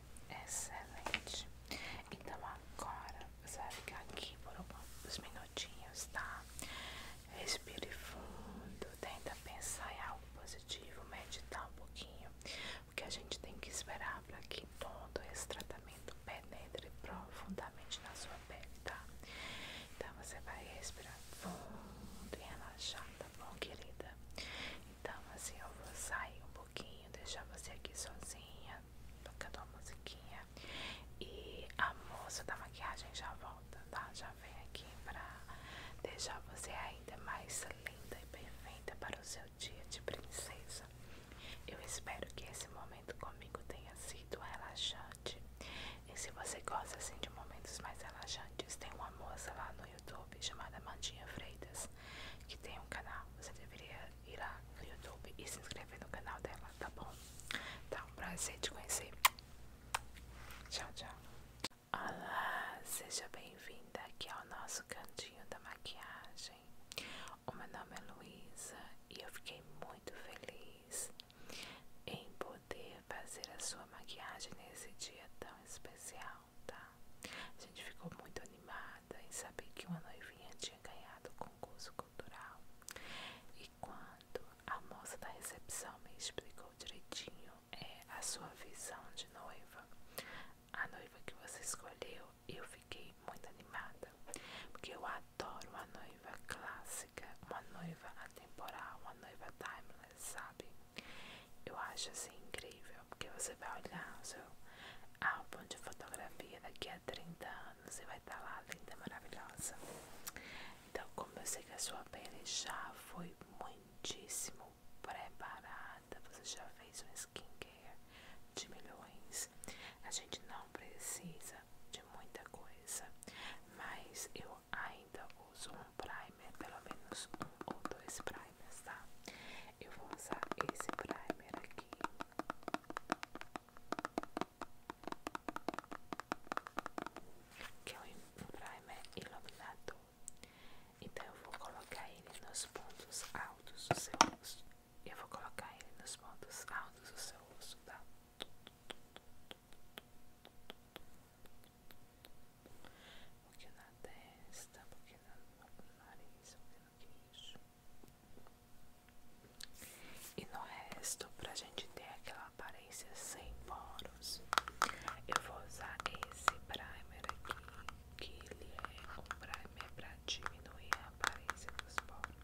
Excelente. Então agora você vai ficar aqui por uns minutinhos, tá? Respire fundo, tenta pensar em algo positivo, meditar um pouquinho, porque a gente tem que esperar para que todo esse tratamento penetre profundamente na sua pele, tá? Então você vai respirar fundo e relaxar, tá bom, querida? Então assim eu vou sair um pouquinho, deixar você aqui sozinha, música, tocando uma musiquinha e a moça da maquiagem já volta, tá? Já vem aqui pra deixar você ainda mais linda e perfeita para o seu dia de princesa. Eu espero que esse momento comigo tenha sido relaxante. E se você gosta assim de momentos mais relaxantes, tem uma moça lá no YouTube chamada Mandinha Freitas que tem um canal. Você deveria ir lá no YouTube e se inscrever no canal dela, tá bom? Tá um prazer te conhecer. Tchau, tchau. Olá, seja bem-vinda aqui ao nosso cantinho da maquiagem. O meu nome é Luísa e eu fiquei muito feliz em poder fazer a sua maquiagem nesse dia tão especial, tá? A gente ficou muito animada em saber que uma noivinha tinha ganhado o concurso cultural. E quando a moça da recepção me explicou direitinho é, a sua visão de noiva, a noiva que você escolheu, eu fiquei muito animada, porque eu adoro uma noiva clássica, uma noiva atemporal, uma noiva timeless, sabe? Eu acho assim incrível, porque você vai olhar o seu álbum de fotografia daqui daqui 30 anos você vai estar tá lá linda, é maravilhosa. Então, como eu sei que a sua pele já foi muitíssimo preparada, você já fez um skincare de milhões. A gente não precisa de muita coisa, mas eu ainda uso um primer, pelo menos um ou dois primers, tá? Eu vou usar esse primer aqui que é um primer iluminador. Então eu vou colocar ele nos pontos altos do seu rosto. Eu vou colocar ele nos pontos altos do seu rosto, tá? Um pouquinho na testa, um pouquinho no nariz, um pouquinho no queixo. E no resto, pra gente ter aquela aparência sem poros, eu vou usar esse primer aqui, que ele é um primer pra diminuir a aparência dos poros.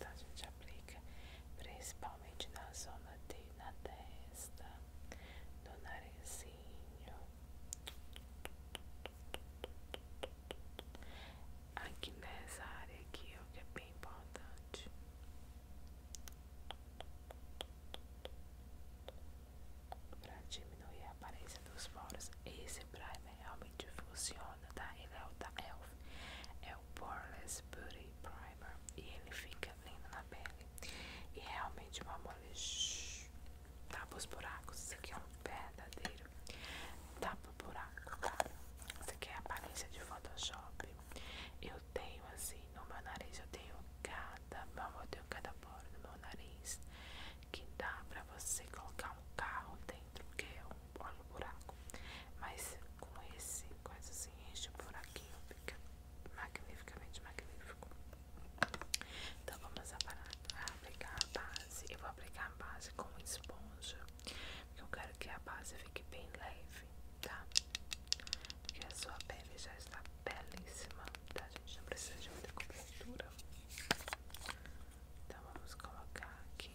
Tá, a gente aplica principalmente na zona de na testa, no narizinho, aqui nessa área aqui, o que é bem importante. Para diminuir a aparência dos poros, esse primer realmente funciona. Dona tá? Ele é o da Elf. É o Poreless Beauty Primer. E ele fica lindo na pele. E realmente uma mole tapa os buracos. Isso aqui é um verdadeiro tapa buraco, Isso aqui é aparência de Photoshop. Eu tenho assim no meu nariz, eu tenho cada eu tenho cada poro no meu nariz que dá para você colocar um carro dentro, porque é olha o buraco. Mas com esse coisa assim, enche o buraquinho, fica magnificamente magnífico. Então vamos parar, aplicar a base. Eu vou aplicar a base com esponja, porque eu quero que a base fique bem leve, tá? Porque a sua pele já está belíssima, tá? A gente não precisa de muita cobertura. Então vamos colocar aqui.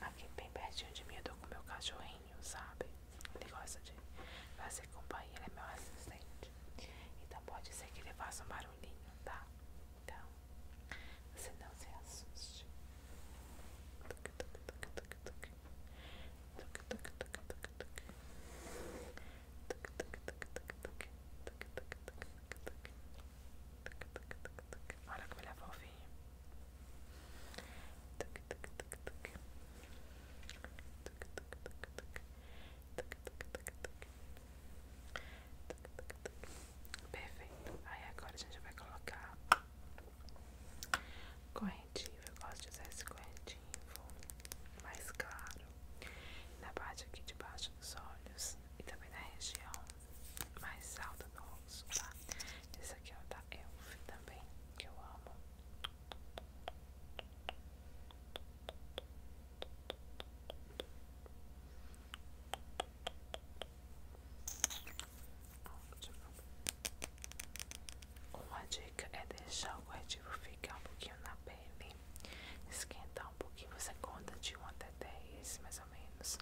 Aqui bem pertinho de mim eu tô com meu cachorrinho, sabe? Ele gosta de fazer companhia, ele é meu assistente. Então pode ser que ele faça um barulhinho, tá? Então, você não se assuste. Tuc, tuc, tuc, tuc, tuc. Olha como ele é fofinho. Perfeito. Aí agora a gente vai colocar correntinho. Eu gosto de usar esse correntinho mais claro, na parte aqui de baixo dos olhos e também na região mais alta do rosto, tá? Esse aqui é o da Elf também, que eu amo. Uma dica é deixar o corretivo ficar um pouquinho na pele, esquentar um pouquinho, você conta de 1 até 10 mais ou menos,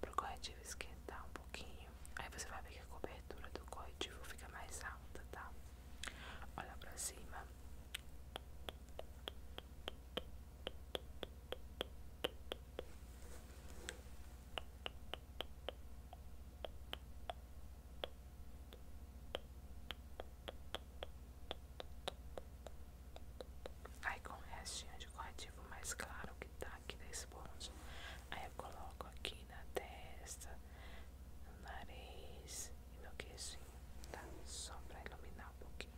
para o corretivo esquentar um pouquinho, aí você vai ver que a cobertura do corretivo fica mais alta, tá? Olha para cima. Aí com o restinho de corretivo mais claro que tá aqui da esponja, aí eu coloco aqui na testa, no nariz e no queixinho, tá? Só pra iluminar um pouquinho.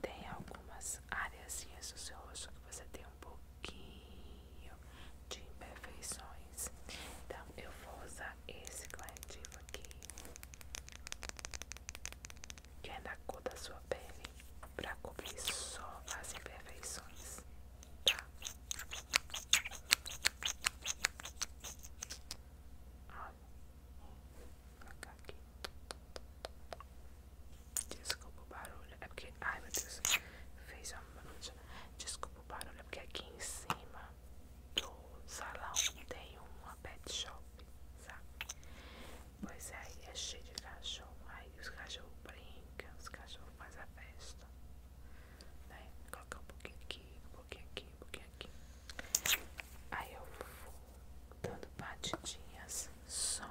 Tem algumas áreas do seu rosto que você tem um pouquinho de imperfeições. Então eu vou usar esse corretivo aqui, que é da cor da sua pele, para cobrir só as imperfeições, tá? Olha, vou colocar aqui. Desculpa o barulho, é porque, ai meu Deus, fez uma mancha. Desculpa o barulho. É porque aqui em cima do salão tem uma pet shop, sabe? Pois aí é, é cheio de cachorro, aí os cachorros brincam, os cachorros fazem a festa, né? Colocar um pouquinho aqui, um pouquinho aqui, um pouquinho aqui. Aí eu vou dando batidinhas só,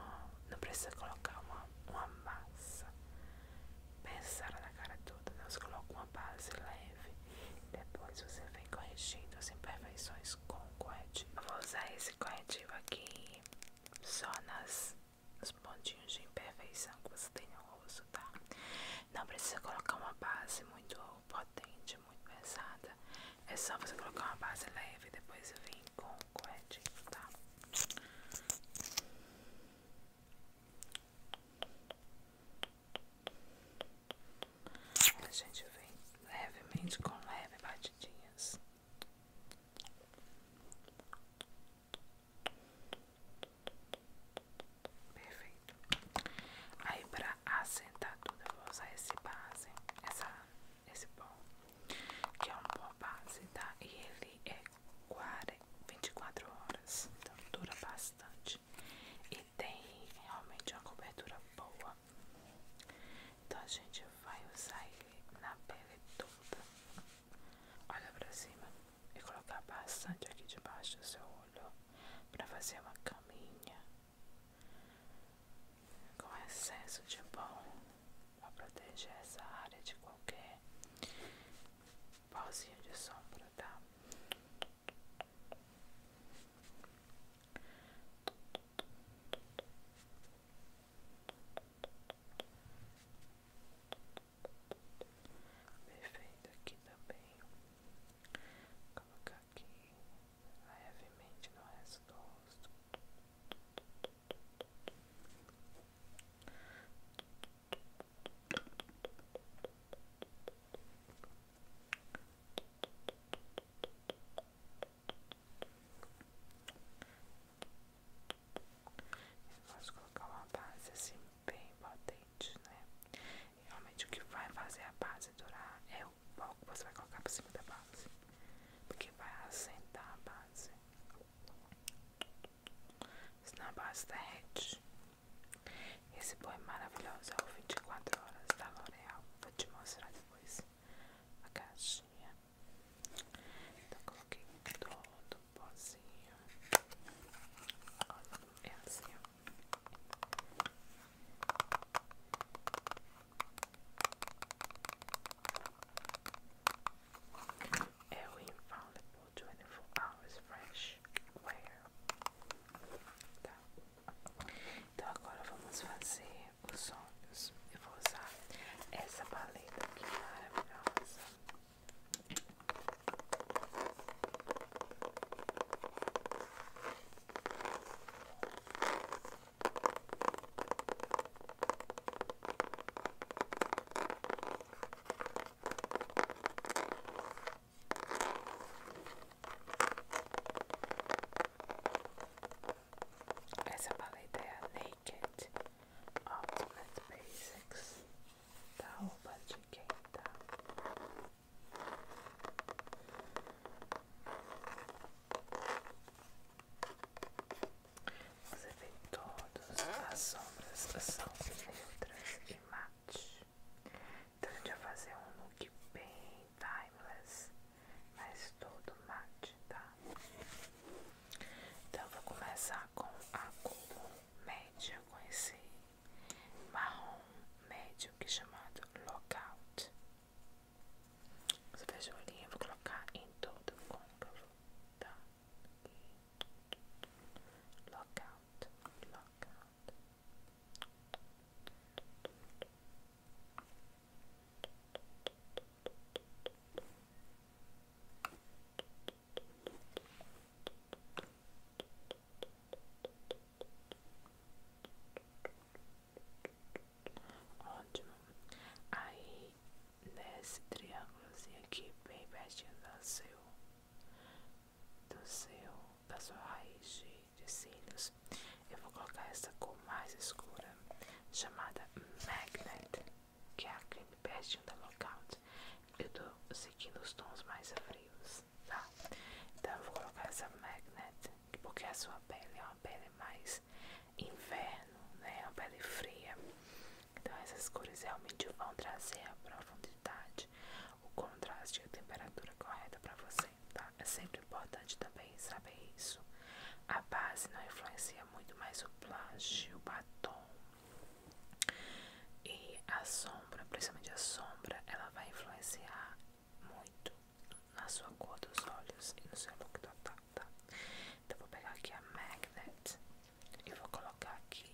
não precisa colocar uma, uma massa. Pensaram na cara toda, nós né? colocamos base leve. Depois você vem corrigindo as imperfeições com o corretivo. Eu vou usar esse corretivo aqui só nas, nos pontinhos de imperfeição que você tem no rosto, tá? Não precisa colocar uma base muito potente, muito pesada. É só você colocar uma base leve e depois vir com o corretivo, tá? A gente vem levemente com leve batidinhas. Perfeito. Aí pra assentar tudo eu vou usar esse base, essa, esse pó, que é um pó base, tá? E ele é 24 horas, então dura bastante e tem realmente uma cobertura boa. Então a gente vai usar ele na pele toda. Olha pra cima e colocar bastante aqui debaixo do seu olho para fazer uma caminha com excesso de bom para proteger essa área de qualquer pauzinho de sombra, tá? Perfeito aqui também. colocar aqui levemente no resto do rosto. Eu posso colocar uma base assim bem potente, né? realmente o que vai fazer a base durar é o pó que você vai colocar por cima da base, porque vai assentar a base. Senão a base derrete. Esse boi é maravilhoso é o 24 horas da L'Oreal. Vou te mostrar depois a caixinha. Então coloquei todo o pozinho. Olha, é assim, É o Infallible 24 hours fresh wear. Tá. Então agora vamos fazer os olhos. Eu vou usar essa paleta aqui maravilhosa. Vou essa paleta é a Naked Ultimate Basics da Opa de quem tá. Você vê todas as sombras são neutras de mate. Então a gente vai fazer um look bem timeless, mas todo matte tá? Então eu vou começar com a cor média, com esse marrom médio que é chamado Lockout. Você fecha o olhinho, eu vou colocar em todo o côncavo, tá? Lockout, lockout. Ótimo. Aí nesse triângulozinho aqui bem pertinho do seu do seu, da sua raiz de, cílios, eu vou colocar essa cor mais escura, chamada Magnet, que é a creme pertinho da Lockout. Eu tô seguindo os tons mais frios, tá? Então eu vou colocar essa Magnet, porque a sua pele é uma pele mais inverno, né? é Uma pele fria. Então essas cores realmente vão trazer a profundidade, o contraste e a temperatura correta para você, tá? É sempre importante também saber isso. A base não influencia muito mais o blush, o batom e a sombra, principalmente a sombra, ela vai influenciar muito na sua cor dos olhos e no seu look total, tá? Então vou pegar aqui a magnet e vou colocar aqui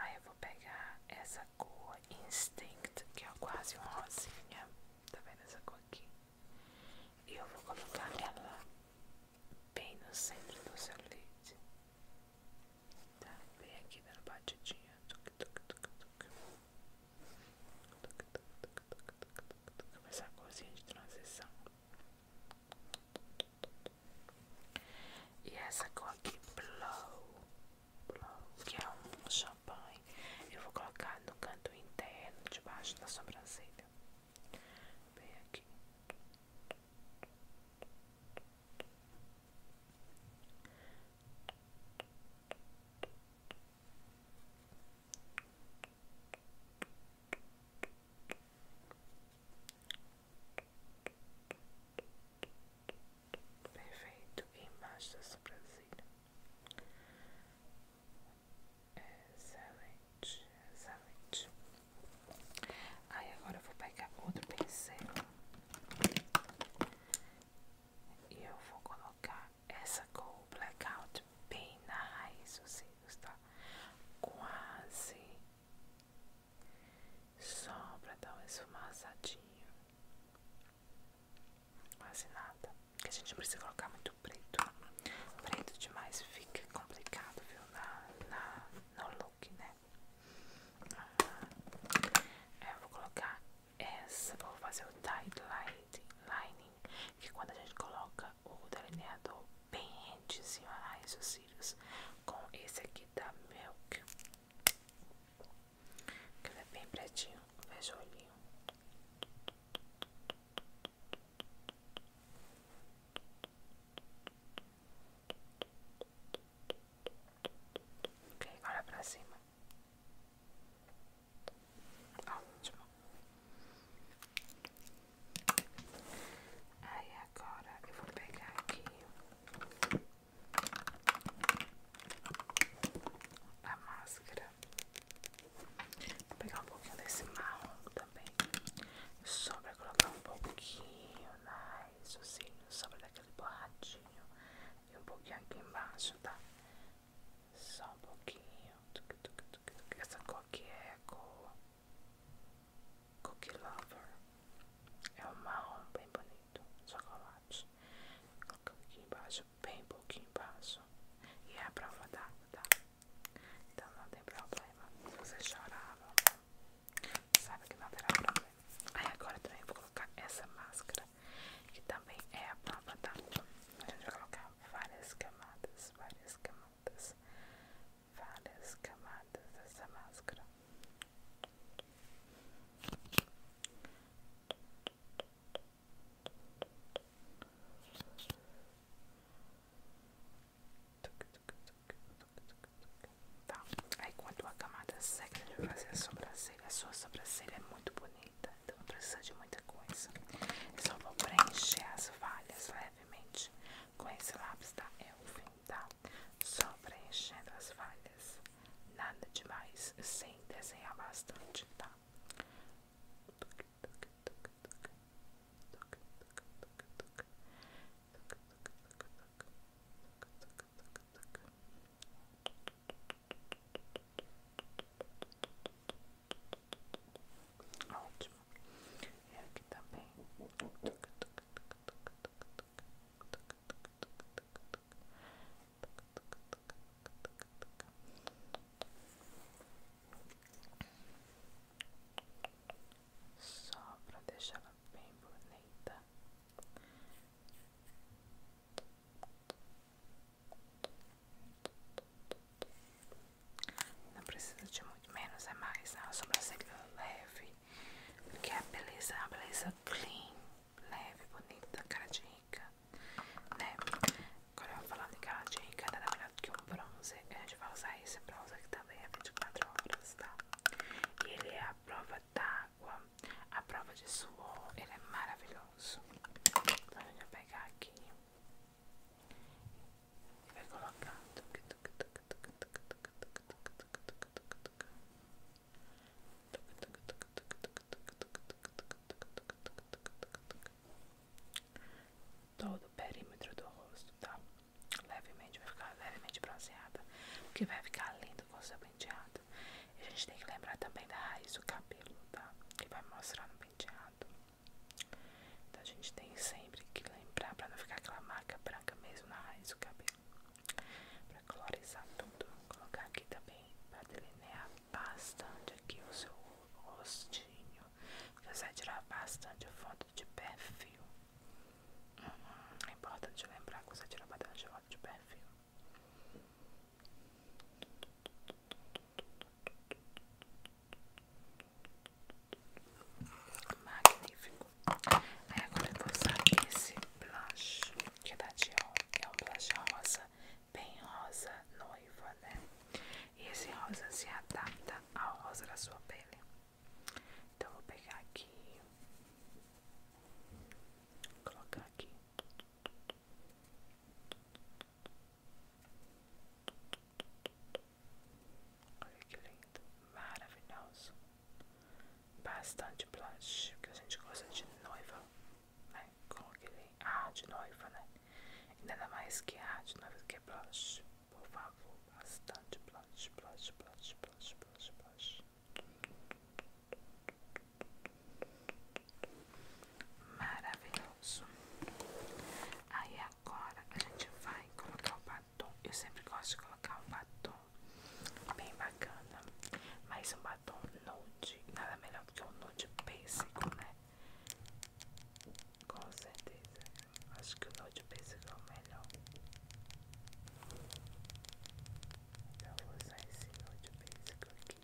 Aí eu vou pegar essa cor Instinct, que é quase um rosinha. Tá vendo essa cor aqui? E eu vou colocar ela bem no centro do seu leite. Tá bem aqui dando batidinha. começar tuc, tuc, tuc. Tuc, tuc, tuc, tuc, tuc, tuc. Essa corzinha de transição. E essa cor aqui, Blow, Blow que é um champanhe. Eu vou colocar no canto interno, debaixo da sobrancelha. Bem aqui. Perfeito, e embaixo da sobrancelha. Excelente, excelente. Aí agora eu vou pegar outro pincel e eu vou colocar essa cor blackout bem na raiz dos cílios, tá? Quase só pra dar um esfumaçadinho. Quase nada. Porque a gente precisa colocar muito preto. Preto demais fica complicado, viu? na, no look, né? É, eu vou colocar essa, vou fazer o tight lining, que é quando a gente coloca o delineador bem rentezinho a raiz dos cílios, com esse aqui da Milk, que ele é bem pretinho, veja o olhinho. Ok, olha para cima. Ótimo. Aí agora eu vou pegar aqui a máscara. Vou pegar um pouquinho desse marrom também. Só pra colocar um pouquinho na né? só raciocínio sobre daquele borradinho e um pouquinho aqui embaixo, tá? Só um pouquinho. Essa cookie é cor Cookie Lover. É um marrom bem bonito, chocolate. Coloca aqui embaixo, bem pouquinho embaixo. E é a prova d'água, tá? Então não tem problema. Se você chorar, Sabe que não haverá problema. Aí agora também vou colocar essa máscara, que também é a prova da. Tá? A gente vai colocar várias camadas, várias camadas, várias camadas dessa máscara. Tuc, tuc, tuc, Tá. Aí quando a camada seca, a vai fazer a sobrancelha. A sua sobrancelha é muito bonita, então não precisa de muita coisa. só vou preencher as falhas levemente com esse lápis da Elfin, tá? Só preenchendo as falhas. Nada demais, sem desenhar bastante, tá? Ótimo. E aqui também. Só para deixar bem bonita. Não precisa de muito menos é mais, não. A sobrancelha leve, porque a beleza é uma beleza clean, leve, bonita, cara de rica, né? Agora eu vou falar de cara de rica, nada melhor do que um bronze. A gente vai usar esse bronze aqui também, é 24 horas, tá? E ele é a prova da a prova de suor, ele é maravilhoso. Então a gente vai pegar aqui e vai colocar. Todo o perímetro do rosto, tá? Levemente, vai ficar levemente bronzeada, porque vai ficar lindo com vou ser penteado. a gente tem que lembrar também da raiz do cabelo, tá? Que vai mostrar no penteado. Então a gente tem sempre que lembrar pra não ficar aquela marca branca mesmo na raiz do cabelo. Pra colorizar tudo. Colocar aqui também pra delinear bastante aqui o seu rostinho. Você vai tirar bastante foto de perfil. É importante lembrar que você tira bastante volta de perfil. Magnífico. Aí agora eu vou usar esse blush que é da Dior. É um blush rosa, bem rosa, noiva, né? E esse rosa se adapta ao rosa da sua pele. Então eu vou pegar aqui colocar aqui. Olha que lindo, maravilhoso. Bastante blush, que a gente gosta de noiva, né? Com é? ah, de noiva, né? Nada mais que ar de noiva que é blush. Por favor, bastante blush, blush, blush, blush, blush, blush. Maravilhoso. Aí agora a gente vai colocar o batom. Eu sempre gosto de colocar um batom bem bacana, mas um batom nude, nada melhor do que um nude básico né? Com certeza. Acho que o nude básico é o melhor. Então vou usar esse note básico aqui.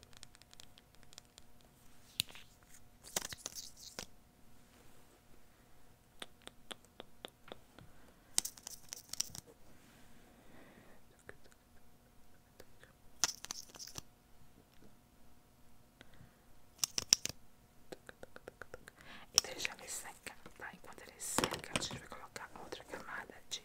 E deixar ele secar, tá? Enquanto ele seca, a gente vai colocar outra camada de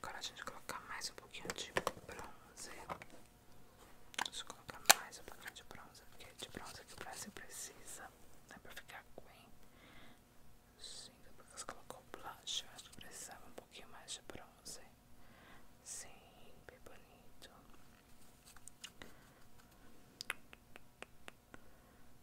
Agora a gente colocar mais um pouquinho de bronze. Deixa eu colocar mais um pouquinho de bronze, porque de bronze que o Brasil precisa, né? Pra ficar bem. Sim, depois que você colocou blush, eu acho que precisava um pouquinho mais de bronze. Sim, bem bonito.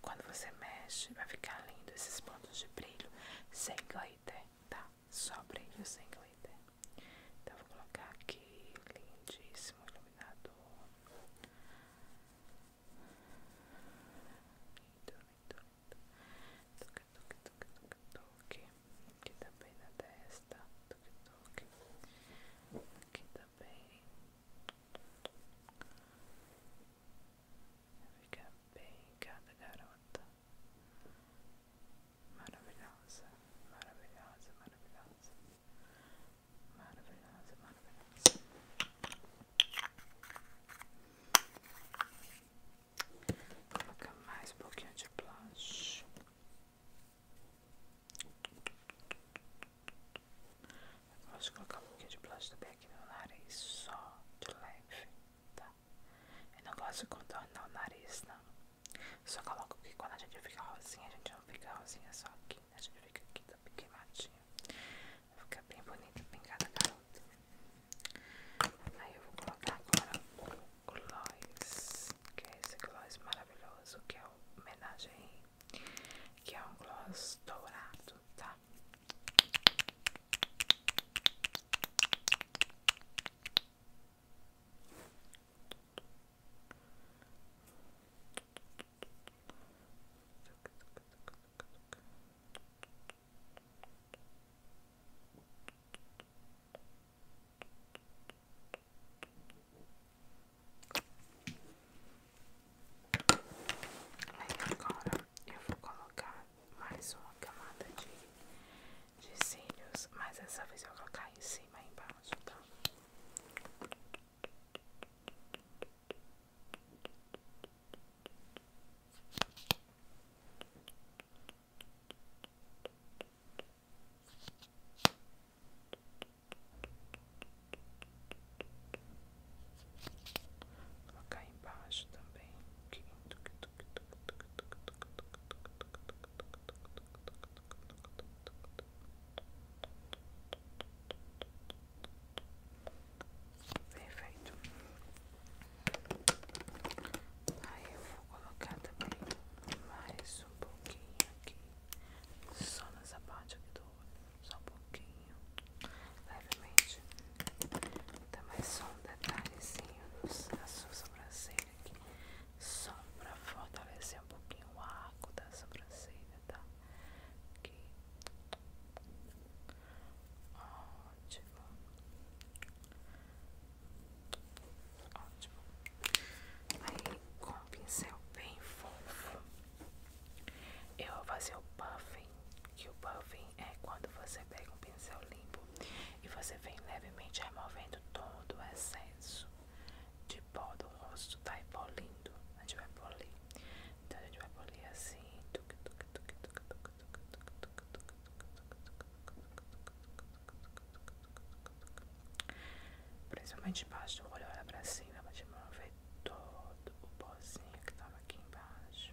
Quando você mexe, vai ficar lindo esses pontos de brilho sem glitter, tá? Só brilho sem glitter. Então, vou colocar aqui, lindíssimo iluminador. Lindo, lindo, lindo. Toque, toque, toque, toque, toque. Aqui também na testa. Toque, toque. Aqui também. Fica bem cada garota. Maravilhosa, maravilhosa, maravilhosa. Maravilhosa, maravilhosa. Vou colocar mais um pouquinho de blush. Eu gosto de colocar um pouquinho de blush também aqui no nariz, só de leve tá? Eu não gosto de contornar o nariz, não. Só coloco que quando a gente fica rosinha, a gente não fica rosinha só aqui. A gente fica aqui, tá bem queimadinho. Fica bem bonito, bem cada garota. Aí eu vou colocar agora o gloss, que é esse gloss maravilhoso, que é o homenagem, que é um gloss dourado, tá? Aí agora eu vou colocar mais uma camada de, de cílios, mas dessa vez eu vou colocar em cima e embaixo, tá? Vou colocar embaixo também. Perfeito. Aí eu vou colocar também mais um pouquinho aqui, só nessa parte do olho, só um pouquinho, levemente também tá só um detalhezinho na sua sobrancelha aqui, só pra fortalecer um pouquinho o arco da sobrancelha, tá? Aqui. Ótimo. Ótimo. Aí, com o pincel bem fofo, eu vou fazer o puff que o buffing é quando você pega um pincel limpo e você vem levemente removendo todo o excesso de pó do rosto, tá? E polindo. A gente vai polir. Então a gente vai polir assim. Principalmente embaixo do olho, olha pra cima, pra gente mover todo o pozinho que tava aqui embaixo.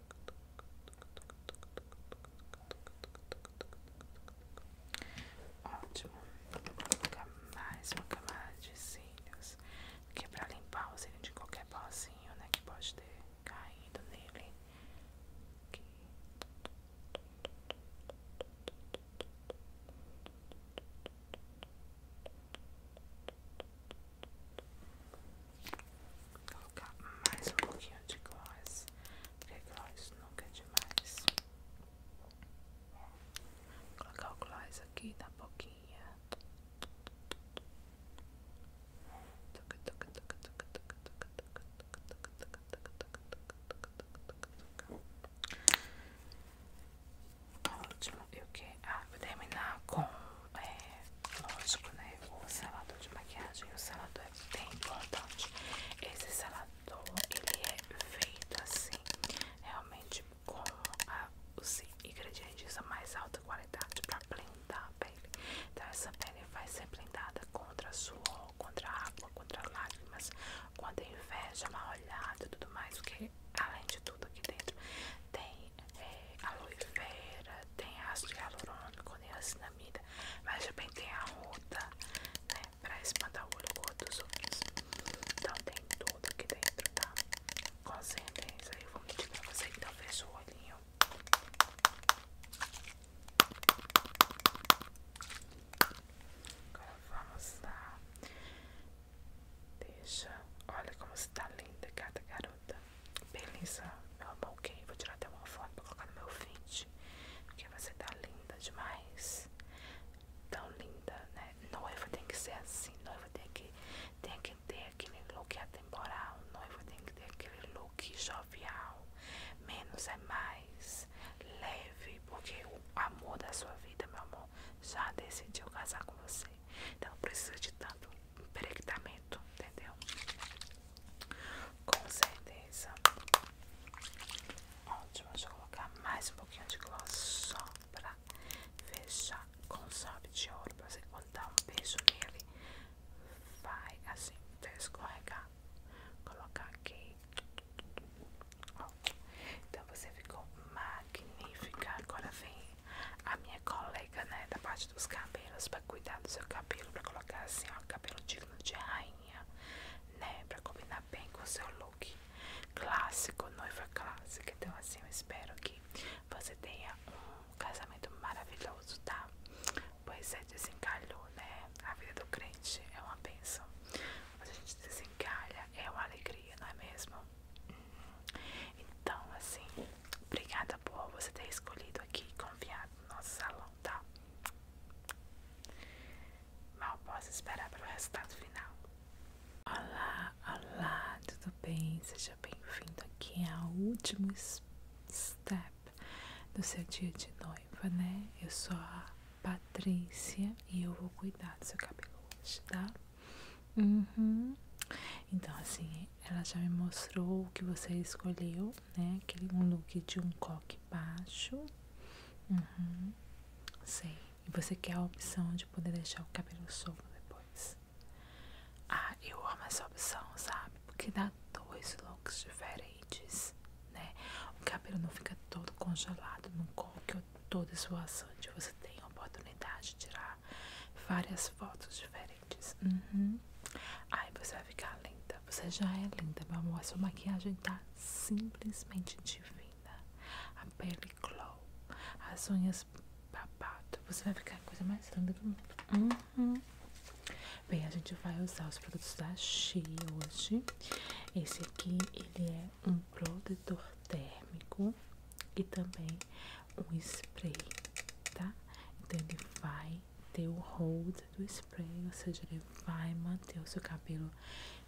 Ótimo, vou colocar mais uma camada de cílios, porque para limpar o cílio de qualquer pozinho, né, que pode ter caído nele. Aqui. Aqui colocar mais um pouquinho de gloss, porque gloss nunca é demais. colocar o gloss aqui na boquinha. Ótimo, eu quero terminar com é, lógico, né? O selador de maquiagem, o selador é bem importante. Esse selador, ele é feito assim, realmente com os ingredientes a mais alta qualidade para blindar a pele. Então essa pele vai ser blindada contra suor, contra água, contra lágrimas, contra inveja, mal olhada e tudo mais, porque além de tudo aqui dentro. Tem é, aloe vera, tem ácido hialurônico, niacinamida, mas também tem a ruda, para né, Pra espantar o olho cor dos olhos Então tem tudo aqui dentro, tá? Com certeza. Eu vou medir pra você que talvez o olhinho. Agora vamos lá. Deixa. Olha como está linda cada garota. Beleza, meu amor, ok. Vou tirar até uma foto pra colocar no meu feed. Porque você tá linda demais. Tão linda, né? Noiva tem que ser assim. Noiva tem que, tem que ter aquele look atemporal. Noiva tem que ter aquele look jovial. Menos é mais. Leve. Porque o amor da sua vida, meu amor, já decidiu casar com você. Então precisa de tanto empreendimento, entendeu? Com certeza. Ótimo, deixa eu colocar mais um pouquinho de gloss só pra fechar com chave de ouro. Pra você contar dá um beijo nele, vai assim, até escorregar. Colocar aqui. Ó. Então você ficou magnífica. Agora vem a minha colega, né, da parte dos cabelos, pra cuidar do seu cabelo, pra colocar assim, ó, cabelo digno de rainha, né, pra combinar bem com o seu look clássico, noiva clássica. Então, assim, eu espero que você tenha um casamento maravilhoso, tá? Pois é, desencalhou, né? A vida do crente é uma bênção. Quando a gente desencalha, é uma alegria, não é mesmo? Uhum. Então, assim, obrigada coisa boa você ter escolhido aqui e confiado no nosso salão, tá? Mal posso esperar pelo resultado final. Olá, olá, tudo bem? Seja bem-vindo aqui ao último step do seu dia de noiva, né? Eu sou a Patrícia e eu vou cuidar do seu cabelo hoje, tá? Uhum. Então, assim, ela já me mostrou o que você escolheu, né? Aquele um look de um coque baixo. sim uhum. E você quer a opção de poder deixar o cabelo solto depois. Ah, eu amo essa opção, sabe? Porque dá dois looks diferentes, né? O cabelo não fica todo congelado no coque ou todo esvoaçante. Você tem a oportunidade de tirar várias fotos diferentes. Uhum. Aí você vai ficar linda. Você já é linda, meu amor. A sua maquiagem tá simplesmente divina. A pele glow, as unhas babado. Você vai ficar a coisa mais linda do mundo. Uhum. Bem, a gente vai usar os produtos da She hoje. Esse aqui, ele é um protetor térmico e também um spray, tá? Então ele vai ter o hold do spray, ou seja, ele vai manter o seu cabelo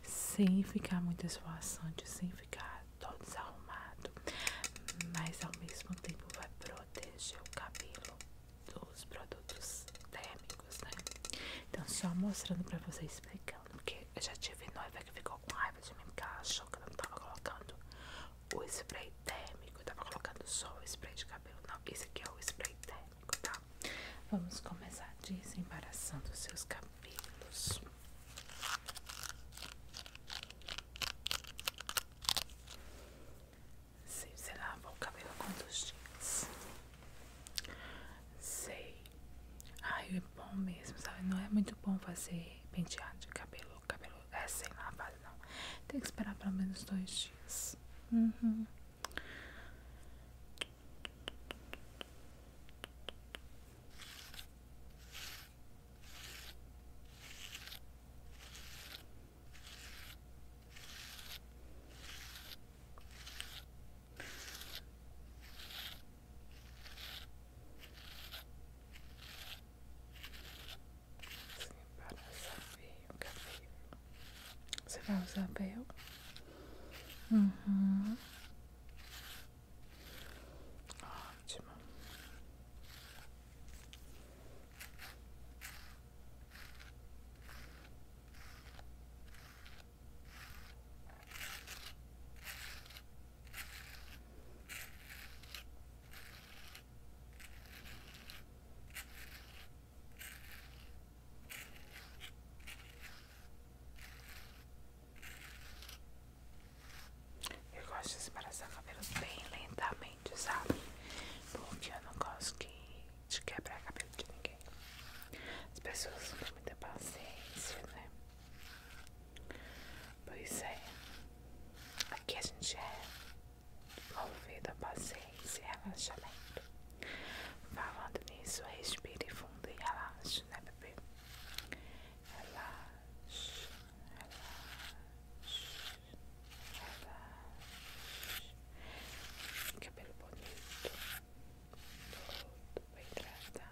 sem ficar muito esvoaçante, sem ficar todo desarrumado, mas ao mesmo tempo vai proteger o cabelo dos produtos térmicos, né? Então, só mostrando pra você explicando, porque eu já tive noiva que ficou com raiva de mim porque ela achou que eu não tava colocando o spray térmico. tava colocando só o spray de cabelo, não. Esse aqui é o spray térmico, tá? Vamos começar desembaraçando seus cabelos. Sei, sei lá, o cabelo quantos dias? Sei. Ai, é bom mesmo, sabe? Não é muito bom fazer penteado de cabelo o cabelo é, sem lavado, não. Tem que esperar pelo menos dois dias. Uhum para saber o cabelo. Você vai usar véu? Uhum. Ótimo. Eu gosto de separar os cabelos bem lentamente, sabe? Porque eu não gosto que de quebrar cabelo de ninguém. As pessoas não têm paciência, né? Pois é. Aqui a gente é movido a paciência e relaxamento. Falando nisso, respire fundo e relaxe, né, bebê? Relaxe, relaxe, relaxe. Cabelo bonito, todo bem tratado.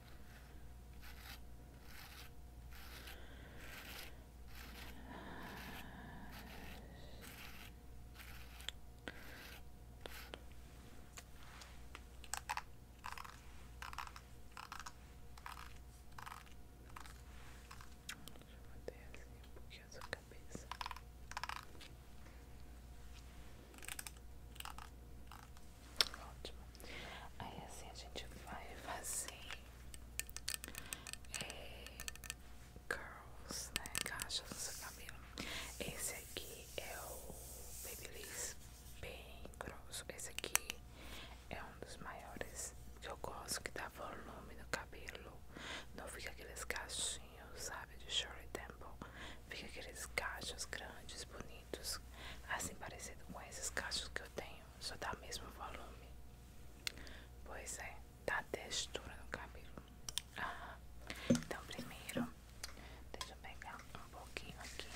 Deixa eu assim um pouquinho a sua cabeça. Aí assim a gente vai fazer é, curls, né? Caixas no seu cabelo. Esse aqui é o Babyliss bem grosso. Esse aqui é um dos maiores que eu gosto, que dá volume no cabelo. Não fica aqueles cachinhos, sabe? De short tempo. Fica aqueles cachos grandes, bonitos assim parecido com esses cachos que eu tenho, só dá o mesmo volume. Pois é, dá textura no cabelo. então primeiro, deixa eu pegar um pouquinho aqui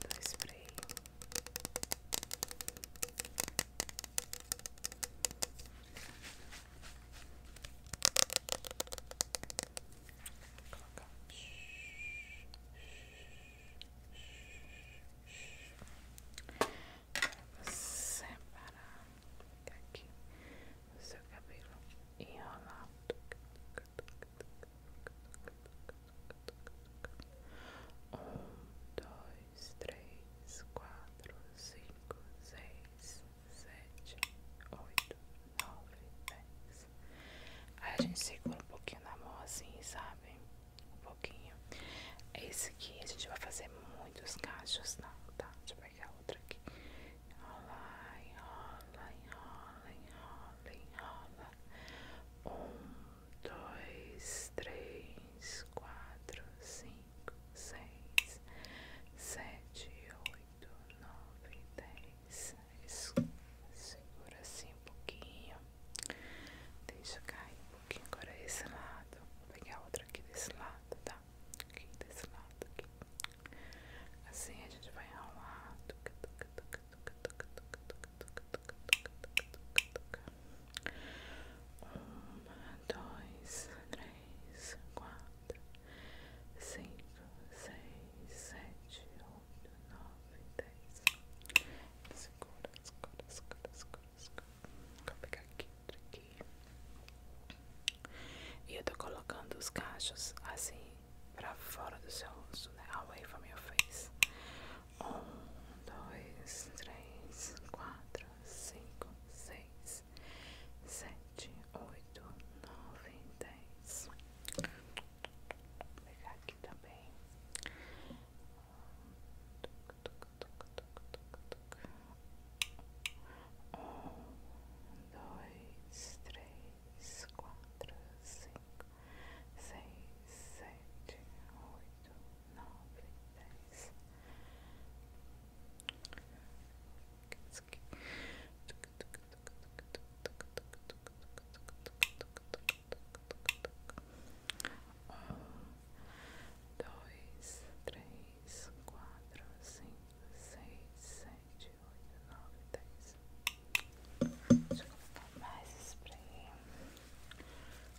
do spray colocar para parar aqui o seu cabelo enrolar um, dois, três, quatro, cinco, seis, sete, oito nove, dez. Aí a gente segura um pouquinho na mão assim, sabe? Um pouquinho. Esse aqui a gente vai fazer muitos cachos, não, tá? Deixa eu pegar outra aqui. Enrola, enrola, enrola, enrola, enrola. Um, dois, três, quatro, cinco, seis, sete, oito, nove, dez segura assim um pouquinho, deixa cair um pouquinho. Agora esse lado, vou pegar outra aqui desse lado, tá? Aqui desse lado, aqui. Assim a gente vai lado Uma, dois, três, quatro, cinco, seis, sete, 8, 9, 10. Segura, segura, segura, segura, Vou pegar aqui, aqui. E eu tô colocando os cachos assim, pra fora do seu rosto, né? Away from your face. Um, dois, três, quatro, cinco, seis, sete, oito, nove, dez pegar aqui também. Um, dois, três, quatro, cinco, seis, sete, oito, nove, dez. Um, dois, três, quatro, cinco, seis, sete, oito, nove, dez. Deixa eu colocar mais spray.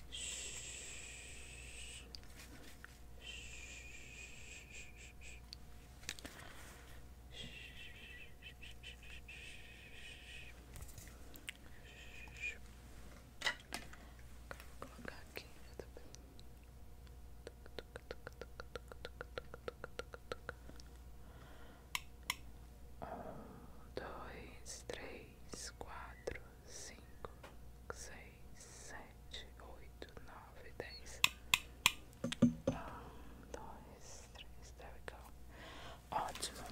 Shhh. Shhh. Shhh. Vou colocar aqui também. Um, dois, três, quatro, cinco, seis, sete, oito, nove, dez. Um, dois, três, there we go. Ótimo.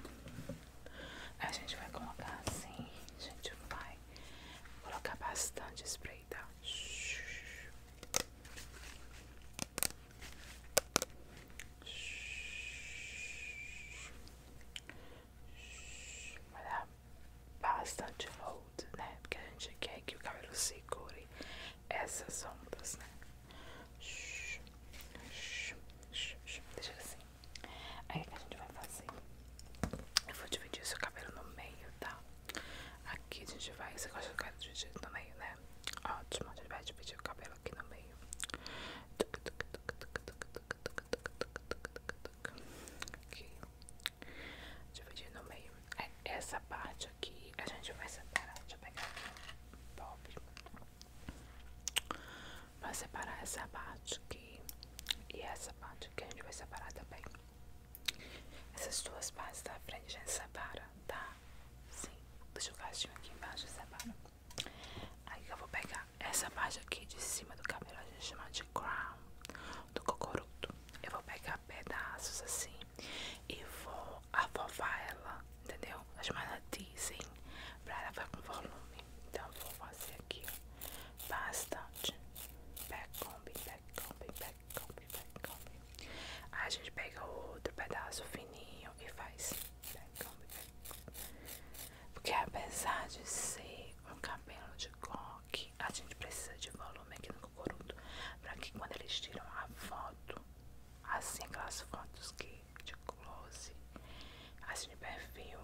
A gente vai colocar assim, a gente vai colocar bastante spray, tá? Vai dar bastante hold, né? Porque a gente quer que o cabelo se cure essas ondas, né? Deixa assim. Aí o que a gente vai fazer? Eu vou dividir esse cabelo no meio, tá? Aqui a gente vai. Você gosta do cabelo dividido no meio, né? Ótimo, a gente vai dividir o cabelo aqui no meio. Aqui. Dividir no meio. É, essa parte aqui a gente vai separar. Deixa eu pegar aqui um pop. Vai separar essa parte aqui e essa parte aqui a gente vai separar também. Essas duas partes da frente a gente separa, tá? Sim, deixa o gatinho aqui embaixo e separa. Aí eu vou pegar essa parte aqui de cima do cabelo, a gente chama de crown, do cocoruto. Eu vou pegar pedaços assim e vou afovar ela, entendeu? As manas dizem pra ela ficar com volume. Então vou fazer aqui bastante. Backcomb, backcomb, backcomb, backcomb. Aí a gente pega outro pedaço fininho e faz backcomb, backcomb. Porque apesar de ser um cabelo de coque, a gente precisa de volume aqui no cocorudo para que quando eles tiram a foto assim aquelas fotos que de close, assim de perfil,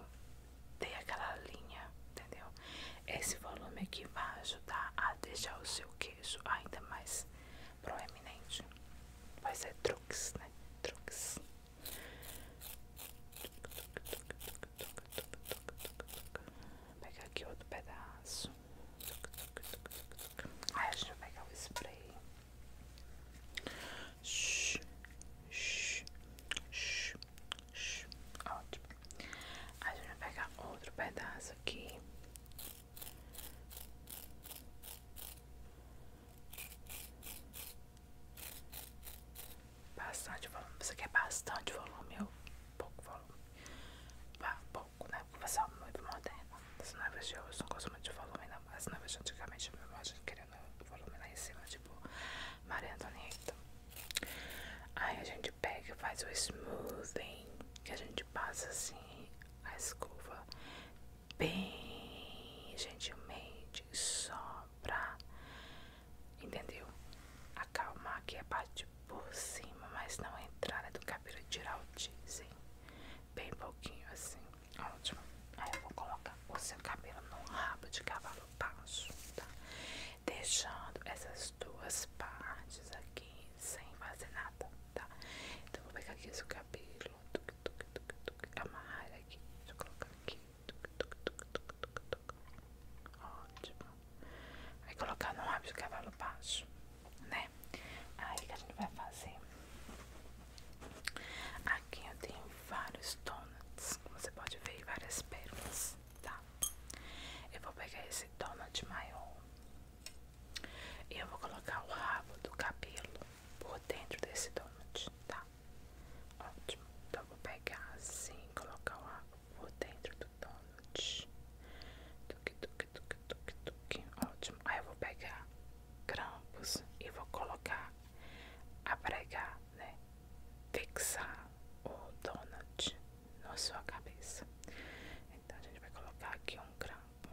tem aquela linha, entendeu? Esse volume aqui vai ajudar a deixar o seu queixo ainda mais proeminente. Vai ser truques, né? Truques. Pegar aqui outro pedaço. Aí a gente vai pegar o spray. Shhh, shhh, shhh, shhh. Ótimo. A gente vai pegar outro pedaço aqui. Bastante volume. Você quer bastante volume ou pouco volume? pouco, né? Porque você é muito moderno. As noivas de hoje não gostam muito de volume, não. As noivas de antigamente, eu imagino, querendo volume lá em cima, tipo Maria Antonieta. Aí a gente pega e faz o smoothing, que a gente passa assim a escova bem gentilmente, só pra, entendeu? Acalmar aqui a parte por cima, mas não a entrada do cabelo, tirar o teasing, bem pouquinho assim. Ótimo. Aí eu vou colocar o seu cabelo no rabo de cavalo baixo, tá? Deixando essas duas partes aqui sem fazer nada, tá? Então eu vou pegar aqui o seu cabelo, tuc, tuc, tuc, tuc, amarrar aqui, deixa eu colocar aqui, tuc, tuc, tuc, tuc, tuc, tuc. Ótimo. Aí colocar no rabo de cavalo baixo né? Aí o que a gente vai fazer? Aqui eu tenho vários donuts, você pode ver, várias pérolas, tá? Eu vou pegar esse donut maior e eu vou colocar o rabo do cabelo por dentro desse donut, tá? Ótimo. Então eu vou pegar assim, colocar o rabo por dentro do donut. Tuque, tuque, tuque, tuque, tuque. Ótimo. Aí eu vou pegar grampos e vou colocar a né? Fixar o donut na sua cabeça. Então a gente vai colocar aqui um grampo.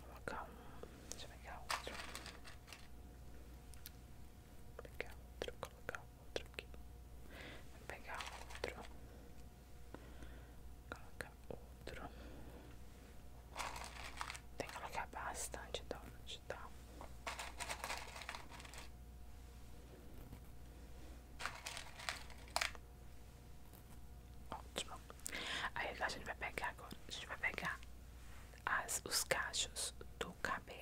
colocar um. Deixa eu pegar outro. pegar outro, colocar outro aqui. pegar outro. Colocar outro. Tem que colocar bastante dó de tal Ótimo. Aí a gente vai pegar agora. A gente vai pegar as, os cachos do cabelo.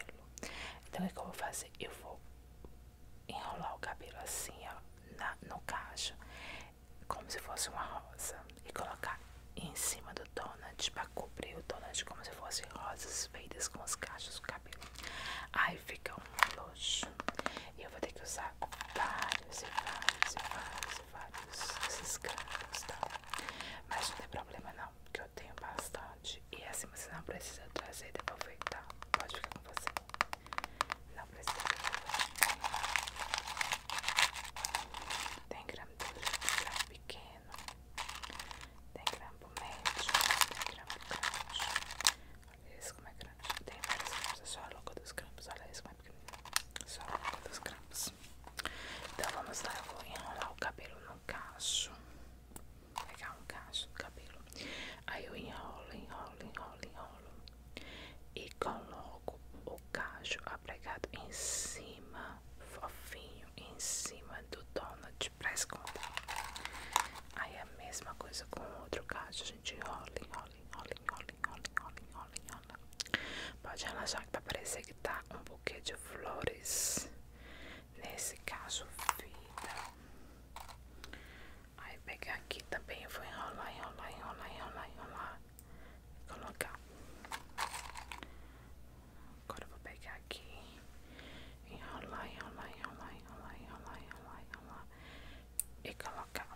Então o que eu vou fazer? Eu vou enrolar o cabelo assim, ó, na, no cacho como se fosse uma rosa e colocar em cima do donut para cobrir o donut como se fosse rosas feitas com os cachos do cabelo. Aí fica um luxo. E eu vou ter que usar vários e vários e vários e vários desses cachos, tá? Mas não tem problema não, que eu tenho bastante. E assim você não precisa trazer e aproveitar tá? Pode ficar com você. Não precisa Tem grampo pequeno Tem grampo médio Tem grampo grande Olha isso como é grande Tem vários grampos, é só a louca dos grampos Olha isso como é pequenininho Só a louca dos grampos Então vamos lá, eu vou enrolar o cabelo no cacho Pegar um cacho do cabelo Aí eu enrolo, enrolo, enrolo, enrolo e coloco o cacho apregado em cima, fofinho, em cima do donut para esconder. Aí é a mesma coisa com o outro cacho, a gente rola, enrola, enrola, enrola, enrola, enrola, enrola, enrola. Pode relaxar que vai tá parecer que tá um buquê de flores. Nesse caso, vida. Aí pegar aqui também, eu vou enrolar, enrolar, enrolar, enrolar, enrolar colocar. Agora vou pegar aqui, enrolar, enrolar, enrolar, enrolar, enrolar, enrolar, enrolar e colocar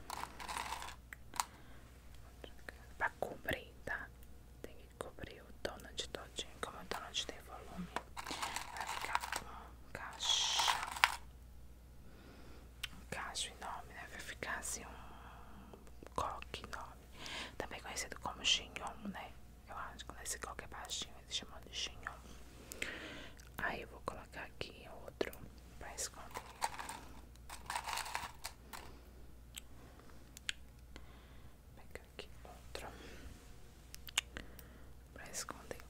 para cobrir, tá? Tem que cobrir o donut todinho, como o donut tem volume, vai ficar uma caixa um cacho enorme, né? Vai ficar assim um coque enorme. Também conhecido como xinhom, né? Eu acho que é esse coque é baixinho, eles chamam de xinhom. Aí eu vou colocar aqui outro pra esconder. Vou pegar aqui outro pra esconder.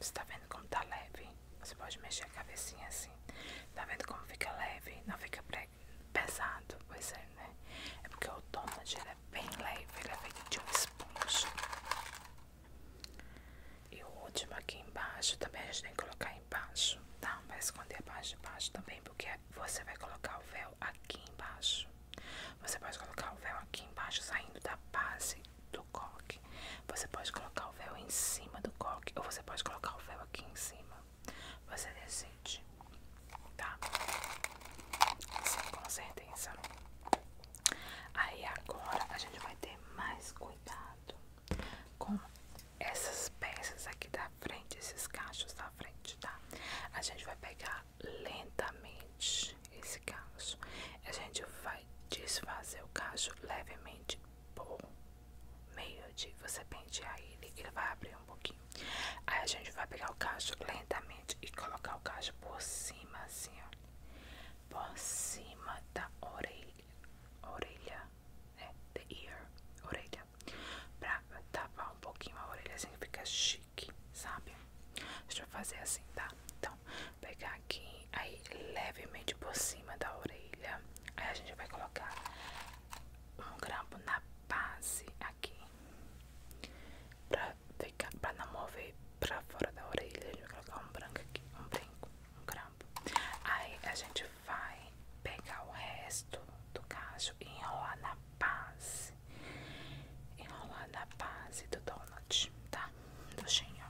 Você tá vendo como tá leve? Você pode mexer a cabecinha assim. Tá vendo como fica leve? Não fica pesado. Pois é, né? É porque o donut ele é bem leve. Ele é feito de um esponja. E o último aqui embaixo também a gente tem que colocar embaixo, tá? Vai esconder a parte de baixo também, porque você vai colocar o véu aqui embaixo. Você pode colocar o véu aqui embaixo, saindo da base do coque. Você pode colocar o véu em cima do coque ou você pode colocar o véu aqui em cima. Você decide, tá? Sim, com certeza. Aí agora a gente vai ter mais cuidado com essas peças aqui da frente, esses cachos da frente, tá? A gente vai pegar lentamente esse cacho. A gente vai desfazer o cacho levemente por meio de você pentear ele, ele vai abrir um pouquinho. Aí a gente vai pegar o cacho lentamente e colocar o cacho por cima, assim, ó. Por cima da orelha. Orelha, né? The ear. Orelha. Pra tapar um pouquinho a orelha, assim, fica chique, sabe? Deixa eu fazer assim, tá? Então, pegar aqui, aí levemente por cima da orelha. Aí a gente vai colocar um grampo na base aqui pra ficar, não mover pra fora da orelha. A gente vai colocar um branco aqui, um brinco, um grampo. Aí a gente vai pegar o resto do cacho e enrolar na base. Enrolar na base do donut, tá? Do chinho.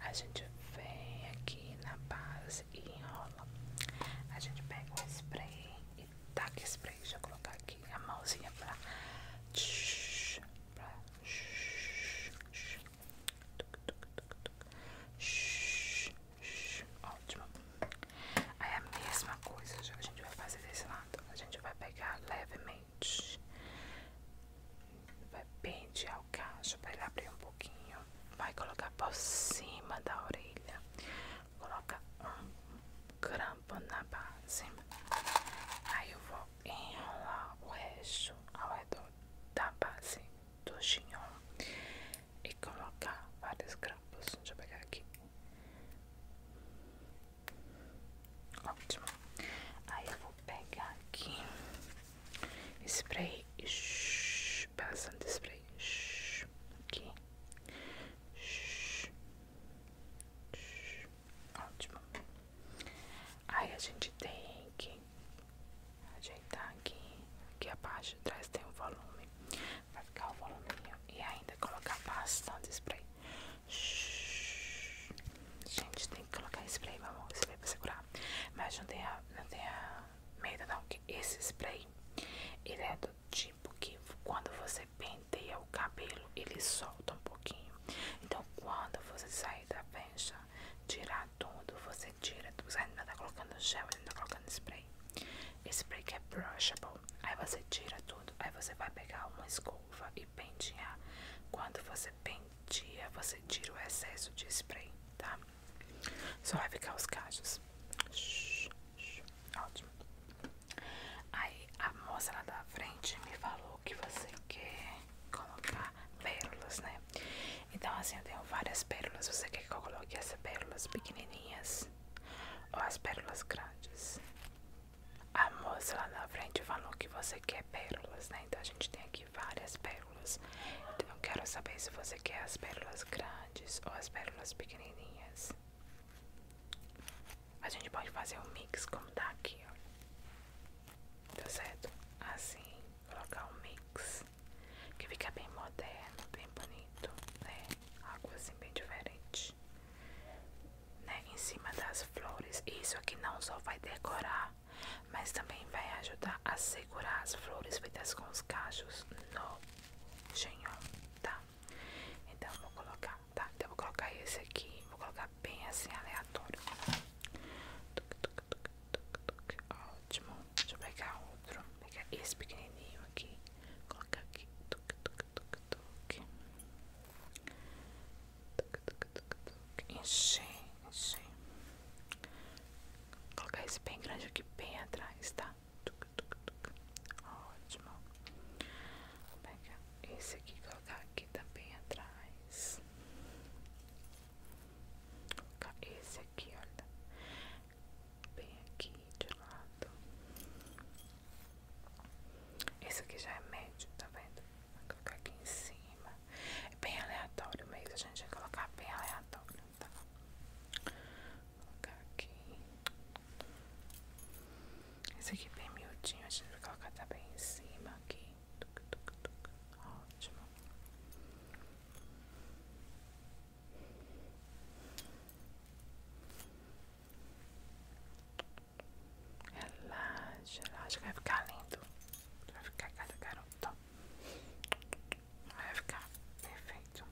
A gente vem aqui na base e enrola. A gente pega o spray e taca spray. Deixa eu colocar aqui a mãozinha pra. pra Ótimo. Aí a mesma coisa já a gente vai fazer desse lado. A gente vai pegar levemente, vai pentear o cacho para ele abrir um pouquinho vai colocar por cima da orelha. Coloca um grampo na base. Aí eu vou enrolar o eixo ao redor da base do chignon e colocar vários grampos. Deixa eu pegar aqui. Ótimo. Aí eu vou pegar aqui Spray. passando bastante spray. aqui. Shhh, Ótimo. Aí a gente tem que ajeitar aqui. Aqui a parte de trás tem o volume. Vai ficar o voluminho. E ainda colocar passando spray. Gente, tem que colocar spray, meu amor. Spray pra segurar. Mas não a. Não tem a Medo não, que esse spray ele é do tipo que quando você penteia o cabelo, ele solta um pouquinho. Então, quando você sair da pencha, tirar tudo, você tira tudo. Você ainda tá colocando gel, ainda tá colocando spray. Esse spray que é brushable. Aí você tira tudo. Aí você vai pegar uma escova e pentear. Quando você pentear você tira o excesso de spray, tá? Só vai ficar os cachos. Ótimo. Aí a moça lá da frente me falou que você quer colocar pérolas, né? Então assim, eu tenho várias pérolas. Você quer que eu coloque essas pérolas pequenininhas ou as pérolas grandes? A moça lá na frente falou que você quer pérolas, né? Então a gente tem aqui várias pérolas. Então, eu quero saber se você quer as pérolas grandes ou as pérolas pequenininhas. A gente pode fazer um mix como tá aqui, ó. Tá certo? Assim, colocar um mix que fica bem moderno, bem bonito, né? Algo assim bem diferente. Né? Em cima das flores. Isso aqui não só vai decorar, mas também vai ajudar para assegurar as flores feitas com os cachos no genhol, tá? Então vou colocar, tá? Então vou colocar esse aqui, vou colocar bem assim aleatório. tuk tuk tuk tuk tuk Ótimo. Deixa eu pegar outro. Pegar esse pequenininho aqui. Colocar aqui. tuk tuk tuk tuk tuk tuk tuc, tuc. Encher, encher colocar esse bem grande aqui bem atrás, tá? Ótimo. esse aqui colocar aqui também tá atrás. Vou esse aqui, olha. Bem aqui de lado. Esse aqui já é médio, tá vendo? Vou colocar aqui em cima. É bem aleatório mesmo, a gente vai colocar bem aleatório tá? Vou colocar aqui. Esse aqui é bem miudinho, a gente vai colocar também em cima aqui. Tuc, tuc, tuc. Ótimo. Relaxa, relaxa, vai ficar lindo. Vai ficar cada garoto. Vai ficar perfeito.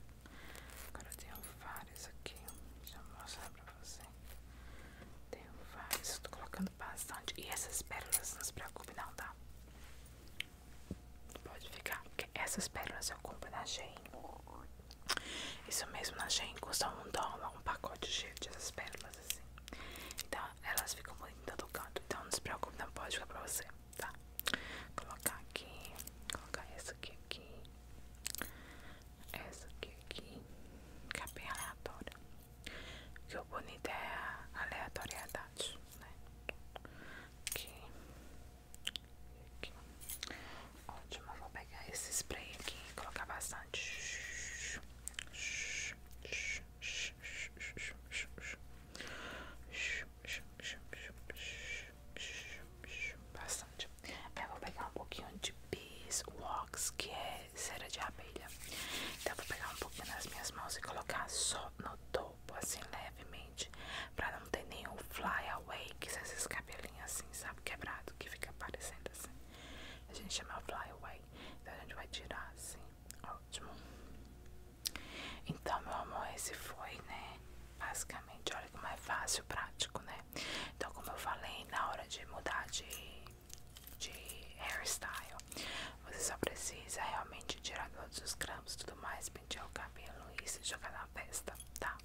Agora eu tenho vários aqui. Deixa eu mostrar pra você. Tenho vários. Estou colocando bastante. E essas pérolas, não se preocupe, não, tá? Pode ficar. Porque essas pérolas eu compro na Shein. Isso mesmo, na Shein custa um dólar, um pacote cheio dessas pérolas assim. Então elas ficam bonitas do canto. Então não se preocupe, não pode ficar pra você tá? Colocar aqui, colocar essa aqui aqui, essa aqui aqui, que é bem aleatório. Que o bonito é a aleatoriedade, né? Aqui, aqui. Ótimo, vou pegar esse spray aqui colocar bastante. Bastante. Eu é, vou pegar um pouquinho de beeswax, que é cera de abelha. Então, eu vou pegar um pouquinho nas minhas mãos e colocar só no topo, assim, levemente, pra não ter nenhum flyaway, que são esses cabelinhos assim, sabe, quebrado, que fica aparecendo assim. A gente chama flyaway. Então, a gente vai tirar assim. Ótimo. Então, meu amor, esse foi, né? Basicamente, olha como é fácil, prático, né? Então, como eu falei, na hora de mudar de, de hairstyle, você só precisa realmente tirar todos os grampos tudo mais, pentear o cabelo e se jogar na festa, tá?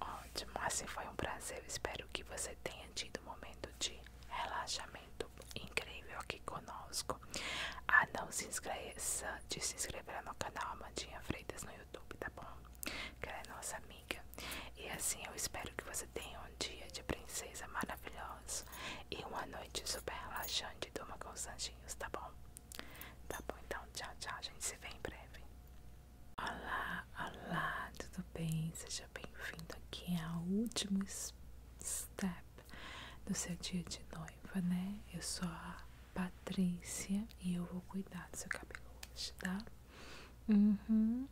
Ótimo, assim foi um prazer. Espero que você tenha tido um momento de relaxamento incrível aqui conosco. Francisco. Ah, não se esqueça de se inscrever no canal Amandinha Freitas no YouTube, tá bom? Que ela é nossa amiga. E assim eu espero que você tenha um dia de princesa maravilhoso e uma noite super relaxante. Durma com os anjinhos, tá bom? Tá bom, então tchau, tchau. A gente se vê em breve. Olá, olá, tudo bem? Seja bem-vindo aqui ao último step do seu dia de noiva, né? Eu sou a Patrícia e eu vou cuidar do seu cabelo hoje, tá? Uhum.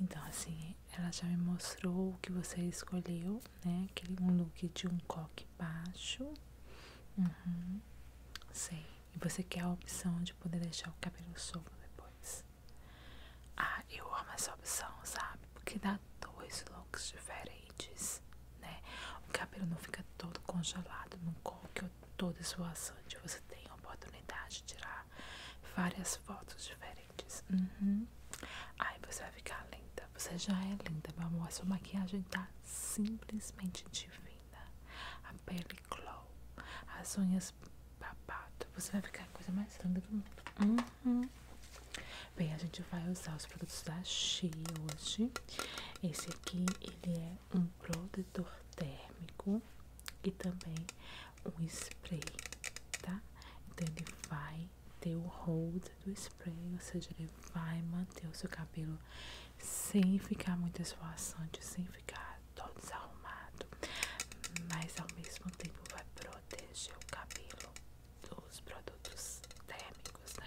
Então, assim, ela já me mostrou o que você escolheu, né? Aquele um look de um coque baixo. sim. Uhum. E você quer a opção de poder deixar o cabelo solto depois. Ah, eu amo essa opção, sabe? Porque dá dois looks diferentes blades, né? O cabelo não fica todo congelado, não coloque toda esvoaçante. Você tem a oportunidade de tirar várias fotos diferentes. Uhum. Aí você vai ficar linda. Você já é linda, meu amor. A sua maquiagem tá simplesmente divina. A pele glow, as unhas babado. Você vai ficar a coisa mais linda do mundo. Uhum. Bem, a gente vai usar os produtos da She hoje. Esse aqui, ele é um protetor térmico e também um spray, tá? Então, ele vai ter o hold do spray, ou seja, ele vai manter o seu cabelo sem ficar muito esvoaçante, sem ficar todo desarrumado, mas ao mesmo tempo vai proteger o cabelo dos produtos térmicos. Né?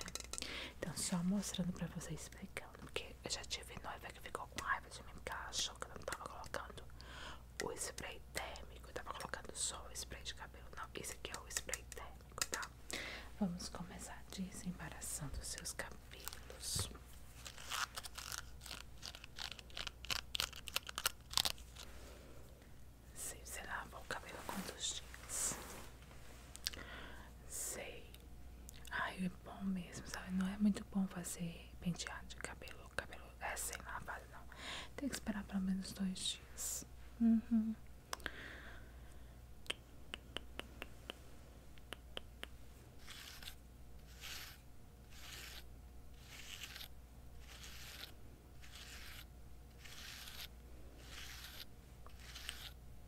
Então, só mostrando pra vocês, explicando, porque eu já tive noiva é que ficou com raiva de mim, porque ela achou que eu não tava colocando o spray térmico, eu tava colocando só o spray de cabelo. Não, esse aqui é o spray térmico, tá? Vamos começar desembaraçando os seus cabelos. Se você lava o cabelo com dois dias, Sei. Ai, é bom mesmo, sabe? Não é muito bom fazer penteado de cabelo. Cabelo é lá lavado, não. Tem que esperar pelo menos dois dias. Uhum. Separar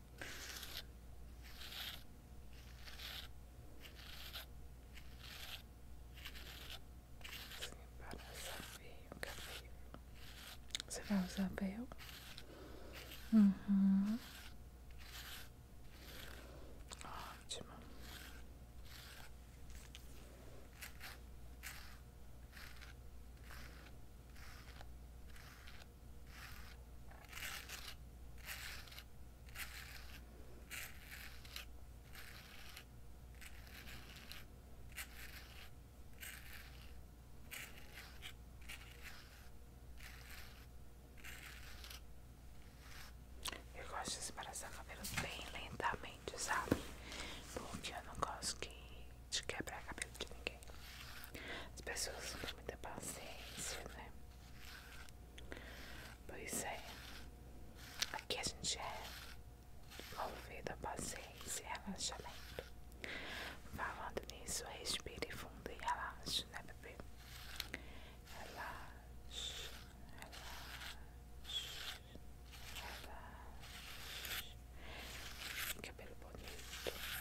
saveio, cabelo. Você vai usar véu? Uhum. Ótimo. Eu gosto de separar esbraçar cabelos bem lentamente, sabe? Porque eu não gosto que de quebrar cabelo de ninguém. As pessoas não têm muita paciência, né? Pois é. Aqui a gente é movido a paciência e relaxamento. Falando nisso, respire fundo e ela, né, bebê? Relaxe, relaxe, relaxe. Cabelo bonito.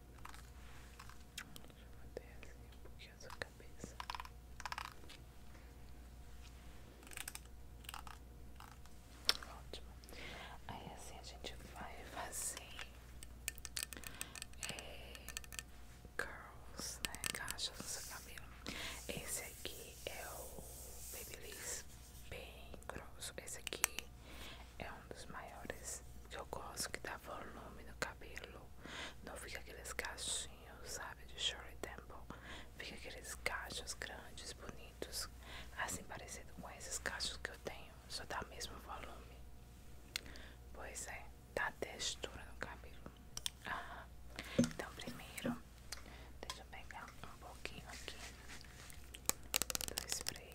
Deixa eu até assim um pouquinho a sua cabeça. Ótimo. Aí assim a gente vai fazer girls é, né? Caixas no seu cabelo. Esse aqui é o Babyliss bem grosso. Esse aqui é um dos maiores que eu gosto, que dá volume no cabelo. Não fica aqueles cachinhos, sabe, de short temple. Fica aqueles cachos grandes, bonitos. Assim parecido com esses cachos que eu tenho. Só dá o mesmo volume. Pois é, dá textura no cabelo. Ah, então primeiro, deixa eu pegar um pouquinho aqui do spray.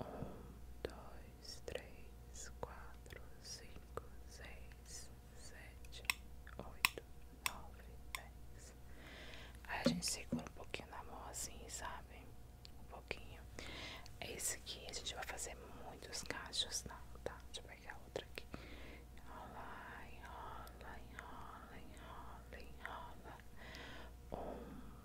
Um, dois, três, quatro, cinco, seis, sete, oito, nove, dez. Aí a gente segura um pouquinho na mão assim, sabe? Um pouquinho. Esse aqui a gente vai fazer muitos cachos, não, tá? Deixa eu pegar outra aqui. Enrola, enrola, enrola, enrola, enrola. Um,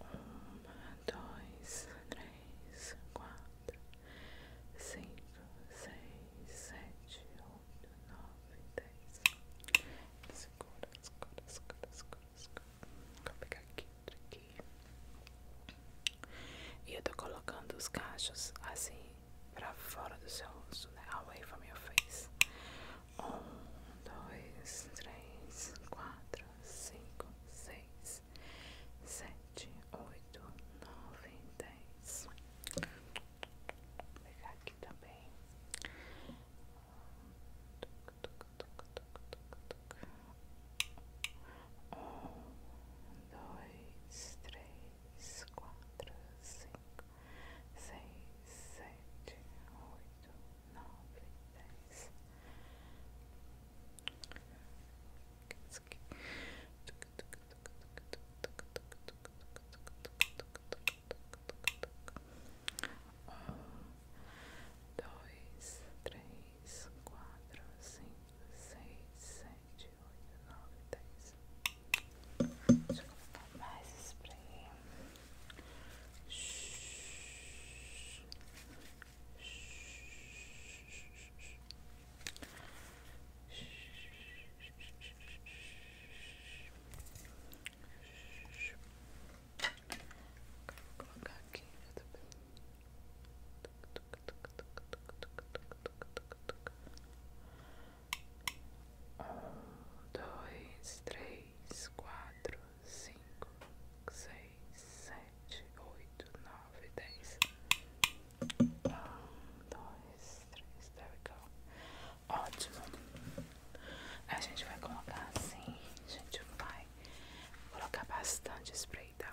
uma, dois, três, quatro, cinco, seis, sete, oito, nove, dez. Segura, segura, segura, segura, segura. Vou pegar aqui, outro aqui. E eu tô colocando os cachos assim pra fora do seu rosto, né? Away from your face. Um, dois, três, quatro, cinco, seis, sete, oito, nove, dez. Vou pegar aqui também. Um, dois, três, quatro, cinco, seis, sete, oito, nove, dez. Um, dois, três, quatro, cinco, seis, sete, oito, nove, dez. Deixa eu colocar mais spray. Vou colocar aqui um, dois, três, quatro, cinco, seis, sete, oito, nove, dez. Um, dois, três, there we go. Ótimo. A gente vai colocar assim, a gente vai colocar bastante spray, tá?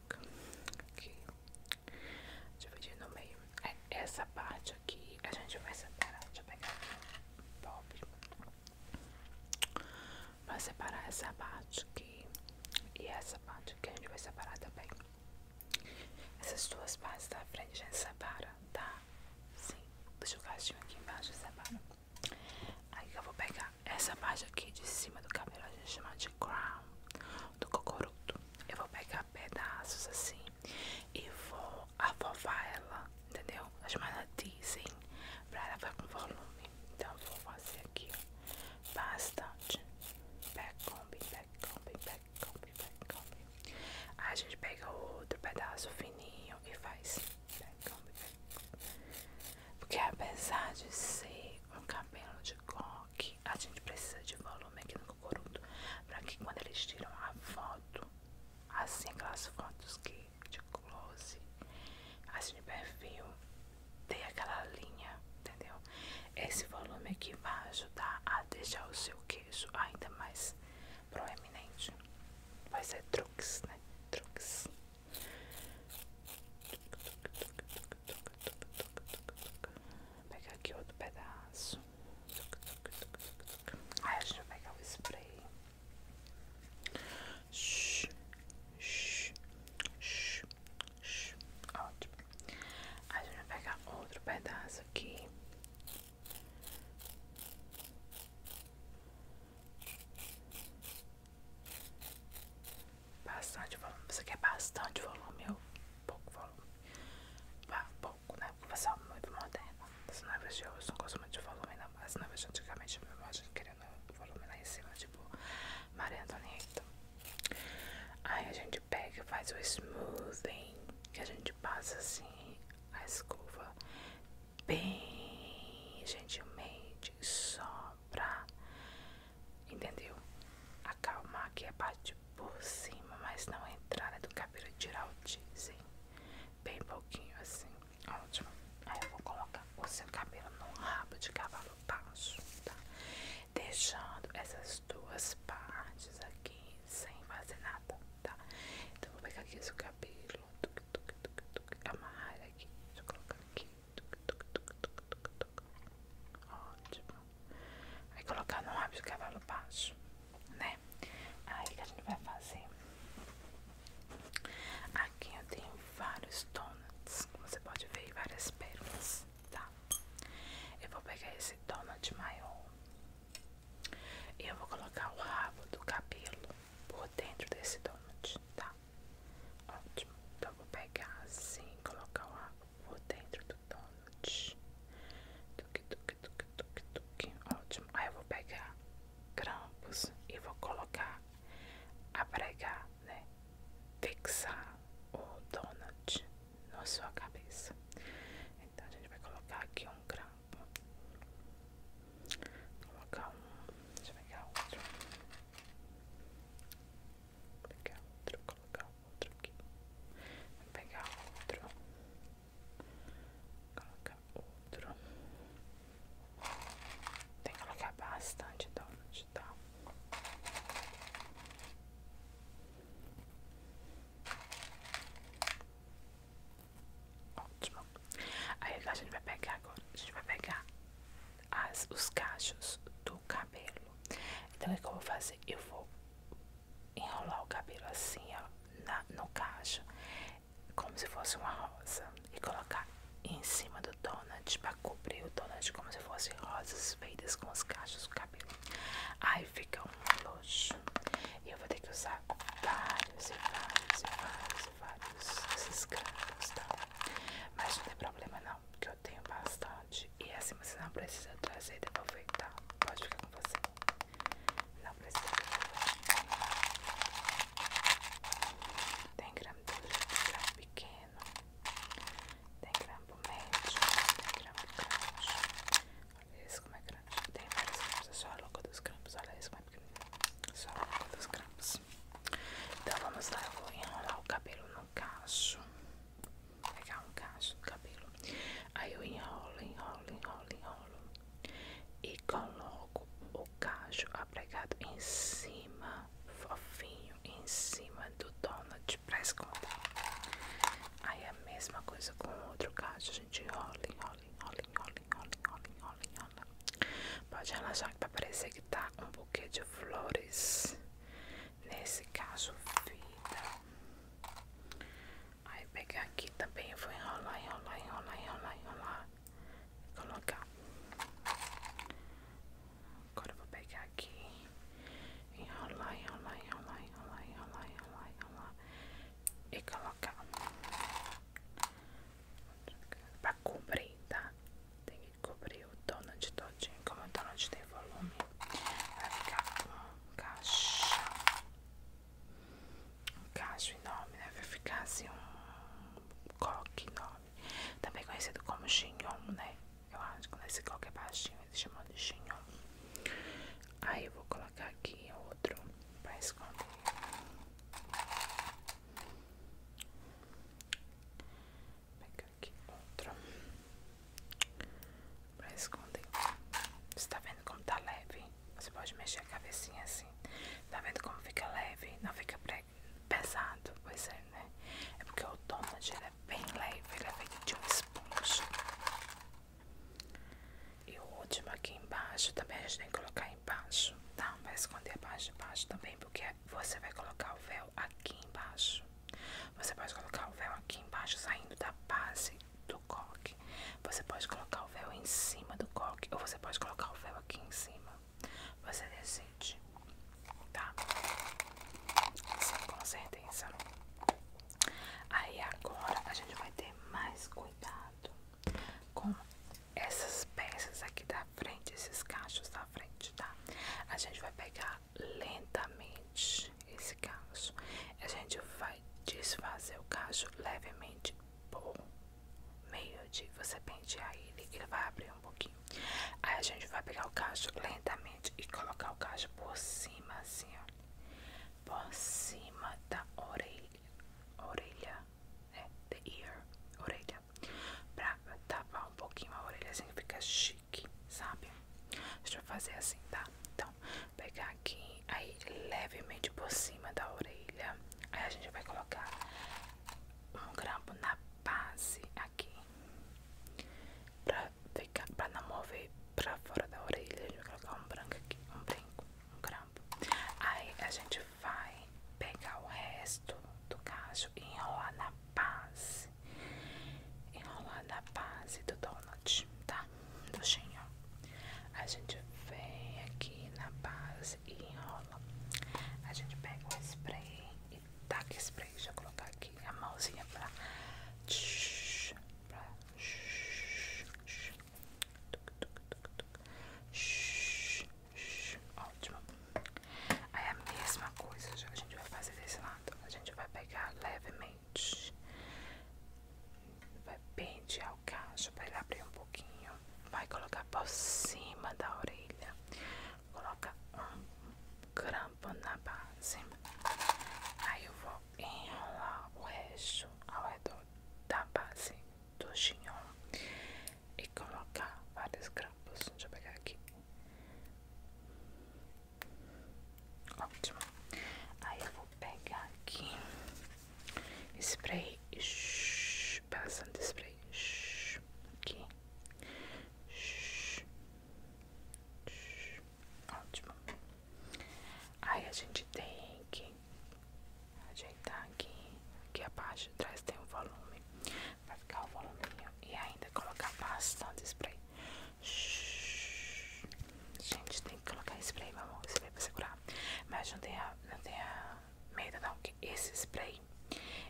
aqui, dividir no meio. É, essa parte aqui a gente vai separar. Deixa eu pegar aqui um pop. Vai separar essa parte aqui e essa parte aqui a gente vai separar também. Essas duas partes da frente a gente separa, tá? Sim, deixa o gatinho aqui embaixo e separa. Aí que eu vou pegar essa parte aqui de cima do cabelo a gente chama de crown, do cocoruto. Eu vou pegar pedaços assim e vou afovar ela, entendeu? A chamada teasing, pra ela ficar com volume. Então vou fazer aqui, ó, bastante. Backcomb, backcomb, backcomb, backcomb. Aí a gente pega outro pedaço fininho e faz backcomb, backcomb. Porque apesar de ser um cabelo de coque, a gente precisa de volume aqui no cocoruto. para que quando eles tiram a foto, assim aquelas fotos que de close, assim de perfil, tem aquela linha, entendeu? Esse volume aqui vai ajudar a deixar o seu queixo ainda mais proeminente. Vai ser truques, né? Truques. Vou pegar aqui outro pedaço. a gente vai pegar o spray. sh sh sh shhh. Ótimo. Aí a gente vai pegar outro pedaço aqui. Bastante volume. Você quer bastante volume ou pouco volume? Bah, pouco, né? Porque você é muito moderno. As novas de hoje não é gostam muito de volume, não. As noivas é de antigamente, meu irmão, a gente queria volume lá em cima, tipo Maria Antonieta. Aí a gente pega e faz o smoothing, que a gente passa assim a escova bem gentilmente, só pra Entendeu? Acalmar aqui a parte por cima, mas não a entrada do cabelo, tirar o teasing. Bem pouquinho assim. Ótimo. Aí eu vou colocar o seu cabelo no rabo de cavalo baixo, tá? Deixando essas duas partes aqui sem fazer nada, tá? Então vou pegar aqui o seu cabelo, tuc, tuc, tuc, tuc, amarrar aqui, deixa eu colocar aqui. Ótimo. Vai colocar no rabo o cavalo baixo, né? Aí o que a gente vai fazer? Aqui eu tenho vários donuts, como você pode ver, e várias pérolas, tá? Eu vou pegar esse donut maior e eu vou colocar o rabo do cabelo por dentro desse donut, tá? Ótimo, então vou pegar assim colocar o água por dentro do donut. Tuque, tuque, tuque, tuque, tuque. Ótimo. Aí eu vou pegar grampos e vou colocar a né? Fixar o donut na sua cabeça. Então a gente vai colocar aqui um grampo. Vou colocar um. Deixa eu pegar outro. Vou pegar outro, colocar outro aqui. Vou pegar outro. Colocar outro. Tem que colocar bastante donut, tá? Ótimo. Aí a gente vai pegar agora. A gente vai pegar as, os cachos do cabelo. Então, o que eu vou fazer? Eu vou enrolar o cabelo assim, ó, no cacho, como se fosse uma rosa, e colocar em cima do donut para cobrir o donut como se fosse rosas feitas com os cachos do cabelo. Aí fica um luxo. E eu vou ter que usar vários e vários e vários e vários esses cachos, tá? Mas não tem problema não sinal, porque eu tenho bastante. E é assim você não precisa trazer e devolver, tá? Pode ficar com você. Não precisa devolver. Tem grampo gramo pequeno. Tem grampo médio. Tem grampo grande. Olha esse como é grande. Tem vários grampos. É só a louca dos grampos. Olha esse como é pequenininho. Só a louca dos grampos. Então vamos lá, eu vou enrolar o cabelo no cacho. Vou pegar um cacho do cabelo. Aí eu enrolo, enrolo, enrolo, enrolo. E coloco o cacho apregado em cima, fofinho, em cima do donut pra esconder. Aí é a mesma coisa com o outro cacho, a gente enrola, enrola, enrola, enrola, enrola, enrola, Pode relaxar que vai parecer que tá um buquê de flores. Nesse caso, vida. Aí pegar aqui também, vou enrolar, enrolar, enrolar, enrolar, enrolar. Colocar. Agora vou pegar aqui. Enrolar, enrolar, enrolar, enrolar, enrolar, enrolar, E colocar. para cobrir, tá? Tem que cobrir o donut todinho. Como o donut tem volume, vai ficar um cacho. Um cacho enorme, né? Vai ficar assim um coque enorme. Também conhecido como xinhon, né? Eu acho que nesse coque é baixinho, eles chamam de xinhon. Aí eu vou colocar aqui outro pra esconder pegar aqui outro pra esconder. Você tá vendo como tá leve? Você pode mexer a cabecinha assim. Tá vendo como fica leve? Não fica pesado? Pois é, né? É porque o donut ele é bem leve, ele é feito de um esponja. E o último aqui embaixo também a gente tem que colocar embaixo, tá? Vai esconder a parte de baixo também, porque você vai colocar o véu aqui embaixo. Você pode colocar o véu aqui embaixo, saindo da base do coque. Você pode colocar o véu em cima do coque, ou você pode colocar o véu aqui em cima. Você decide, tá? Sim, com certeza. Aí agora a gente vai ter mais cuidado com essas peças aqui da frente, esses cachos da frente, tá? A gente vai pegar lentamente esse caso A gente vai desfazer o caso levemente por meio de você pentear ele, ele vai abrir um pouquinho. Aí a gente vai pegar o caso lentamente e colocar o caso por cima, assim, ó. Por cima da orelha. Orelha. É, the ear. Orelha. Pra tapar um pouquinho a orelha assim fica chique, sabe? Deixa eu fazer assim, tá? Então, pegar aqui, aí levemente por cima da orelha. Aí a gente vai colocar um grampo na base aqui. Pra ficar, pra não mover pra fora da orelha, a gente vai colocar um branco aqui, um brinco, um grampo. Aí a gente vai pegar o resto do cacho e enrolar na Paz, enrolar na base do Donut, tá? Do Xinhão. A gente vem aqui na base e enrola. A gente pega o spray e taca spray. Deixa eu colocar aqui a mãozinha pra. pra Ótimo. Aí a mesma coisa a gente vai fazer desse lado. A gente vai pegar levemente, vai pentear o cacho para ele abrir um pouquinho. Vai colocar por cima da orelha. Coloca um crampo na base. Aí eu vou enrolar o resto ao redor da base do chignon e colocar vários grampos. Deixa eu pegar aqui Ótimo. Aí eu vou pegar aqui spray, shh, bastante spray, shh, aqui, shh, shh, ótimo. Aí a gente tem que ajeitar aqui, aqui a parte de trás tem o um volume, vai ficar o voluminho e ainda colocar bastante spray. Gente, tem que colocar spray, meu amor. Spray pra segurar. Mas não tenha, não tenha medo, não. Que esse spray,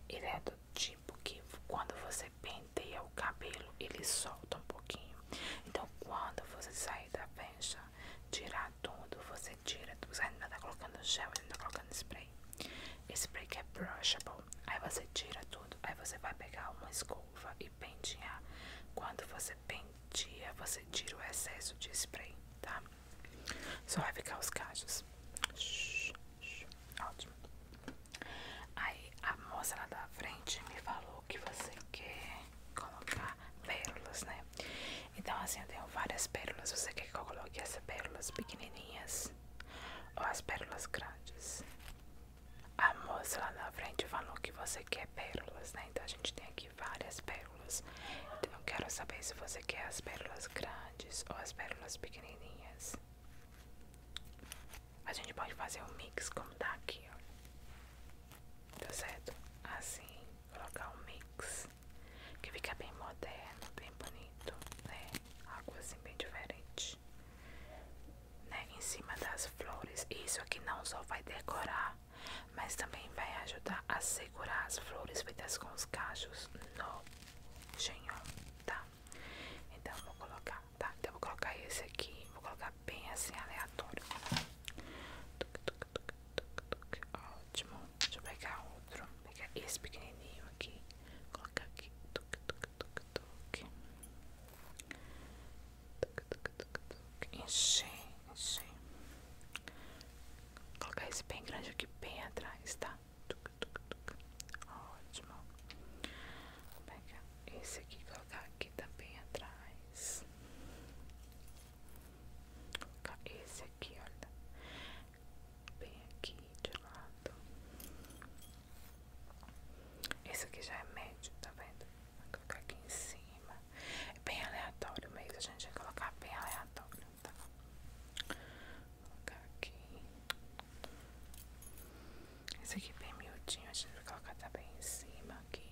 ele é do tipo que quando você penteia o cabelo, ele solta um pouquinho. Então, quando você sair da pencha, tirar tudo, você tira tudo. Você ainda tá colocando gel, ainda tá colocando spray. Esse spray que é brushable. Aí você tira tudo, aí você vai pegar uma escova e pentear. Quando você pentear você tira o excesso de spray, tá? Só vai ficar os cachos. Shhh, ótimo. Aí a moça lá da frente me falou que você quer colocar pérolas, né? Então assim, eu tenho várias pérolas. Você quer que eu coloque essas pérolas pequenininhas ou as pérolas grandes? A moça lá na frente falou que você quer pérolas, né? Então a gente tem aqui várias pérolas. Então eu quero saber se você quer as pérolas grandes ou as pérolas pequenininhas. A gente pode fazer um mix como tá aqui, ó. Tá certo? Assim, colocar um mix que fica bem moderno, bem bonito, né? Algo assim bem diferente né, em cima das flores. Isso aqui não só vai decorar, mas também vai ajudar a segurar as flores feitas com os cachos no genho, tá? Então vou colocar, tá? Então vou colocar esse aqui, vou colocar bem assim aleatório. tuk tuk tuk tuk tuk Ótimo. Deixa eu pegar outro, pegar esse pequenininho aqui colocar aqui tuc, tuc, tuc, tuc. Tuc, tuc, tuc, tuc. encher, encher colocar esse bem grande aqui bem atrás, tá? Tuc, tuc, tuc. ótimo pegar esse aqui colocar aqui também atrás colocar esse aqui, olha bem aqui de lado. Esse aqui já é médio, tá vendo? Vou colocar aqui em cima. É bem aleatório mesmo, a gente vai colocar bem aleatório, tá? Vou colocar aqui. Esse aqui é bem miudinho, a gente vai colocar também em cima aqui.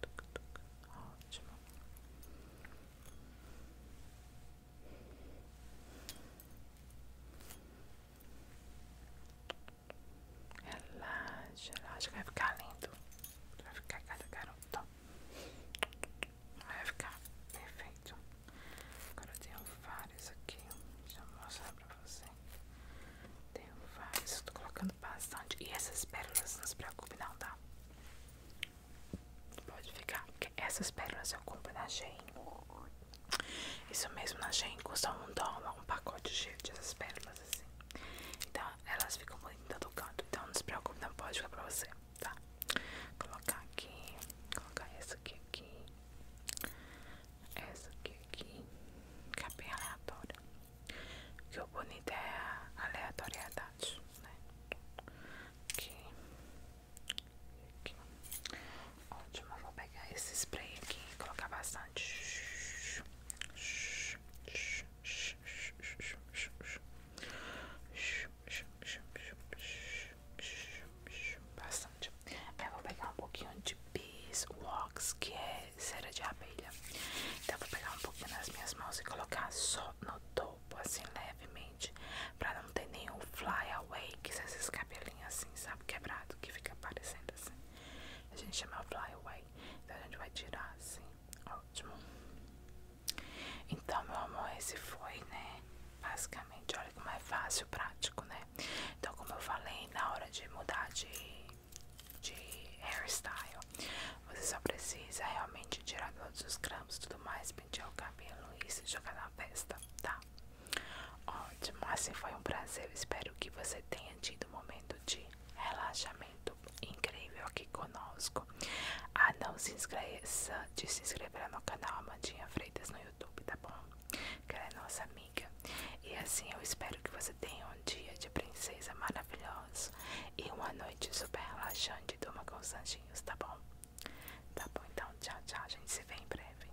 Tuc, Ótimo. Relaxa, relaxa, vai ficar lindo. Vai ficar cada garoto. Vai ficar perfeito. Agora eu tenho vários aqui. Deixa eu mostrar pra você. Tenho vários. Estou colocando bastante. E essas pérolas, não se preocupe, não, tá? Pode ficar. Porque essas pérolas eu compro na Shein. Isso mesmo na Shein custa um dólar um pacote cheio dessas pérolas assim. Então elas ficam muito em todo canto. Então não se preocupe, não pode ficar pra você, tá? colocar aqui, colocar essa aqui aqui, essa aqui aqui, que é bem aleatória. que o bonito é a aleatoriedade, né? Aqui, aqui. Ótimo, vou pegar esse spray aqui e colocar bastante. Bastante. Aí eu vou pegar um pouquinho de Bees Wax, que é cera de abelha. Então eu vou pegar um pouquinho nas minhas mãos e colocar só no topo, assim levemente, pra não ter nenhum fly away, que esses cabelinhos assim, sabe, quebrado, que fica aparecendo assim. A gente chama fly away. Então a gente vai tirar assim. Ótimo. Então, meu amor, esse foi, né? Basicamente, olha como é fácil, prático, né? Então, como eu falei, na hora de mudar de, de hairstyle, você só precisa realmente tirar todos os grampos tudo mais, pentear o cabelo e se jogar na festa, tá? Ótimo, assim foi um prazer. Eu espero que você tenha tido um momento de relaxamento incrível aqui conosco. Ah, não se esqueça de se inscrever no canal Amadinha Freitas no YouTube, tá bom? Que ela é nossa amiga. E assim eu espero que você tenha um dia de princesa maravilhoso e uma noite super relaxante. Durma com os anjinhos, tá bom? Tá bom, então tchau, tchau. A gente se vê em breve.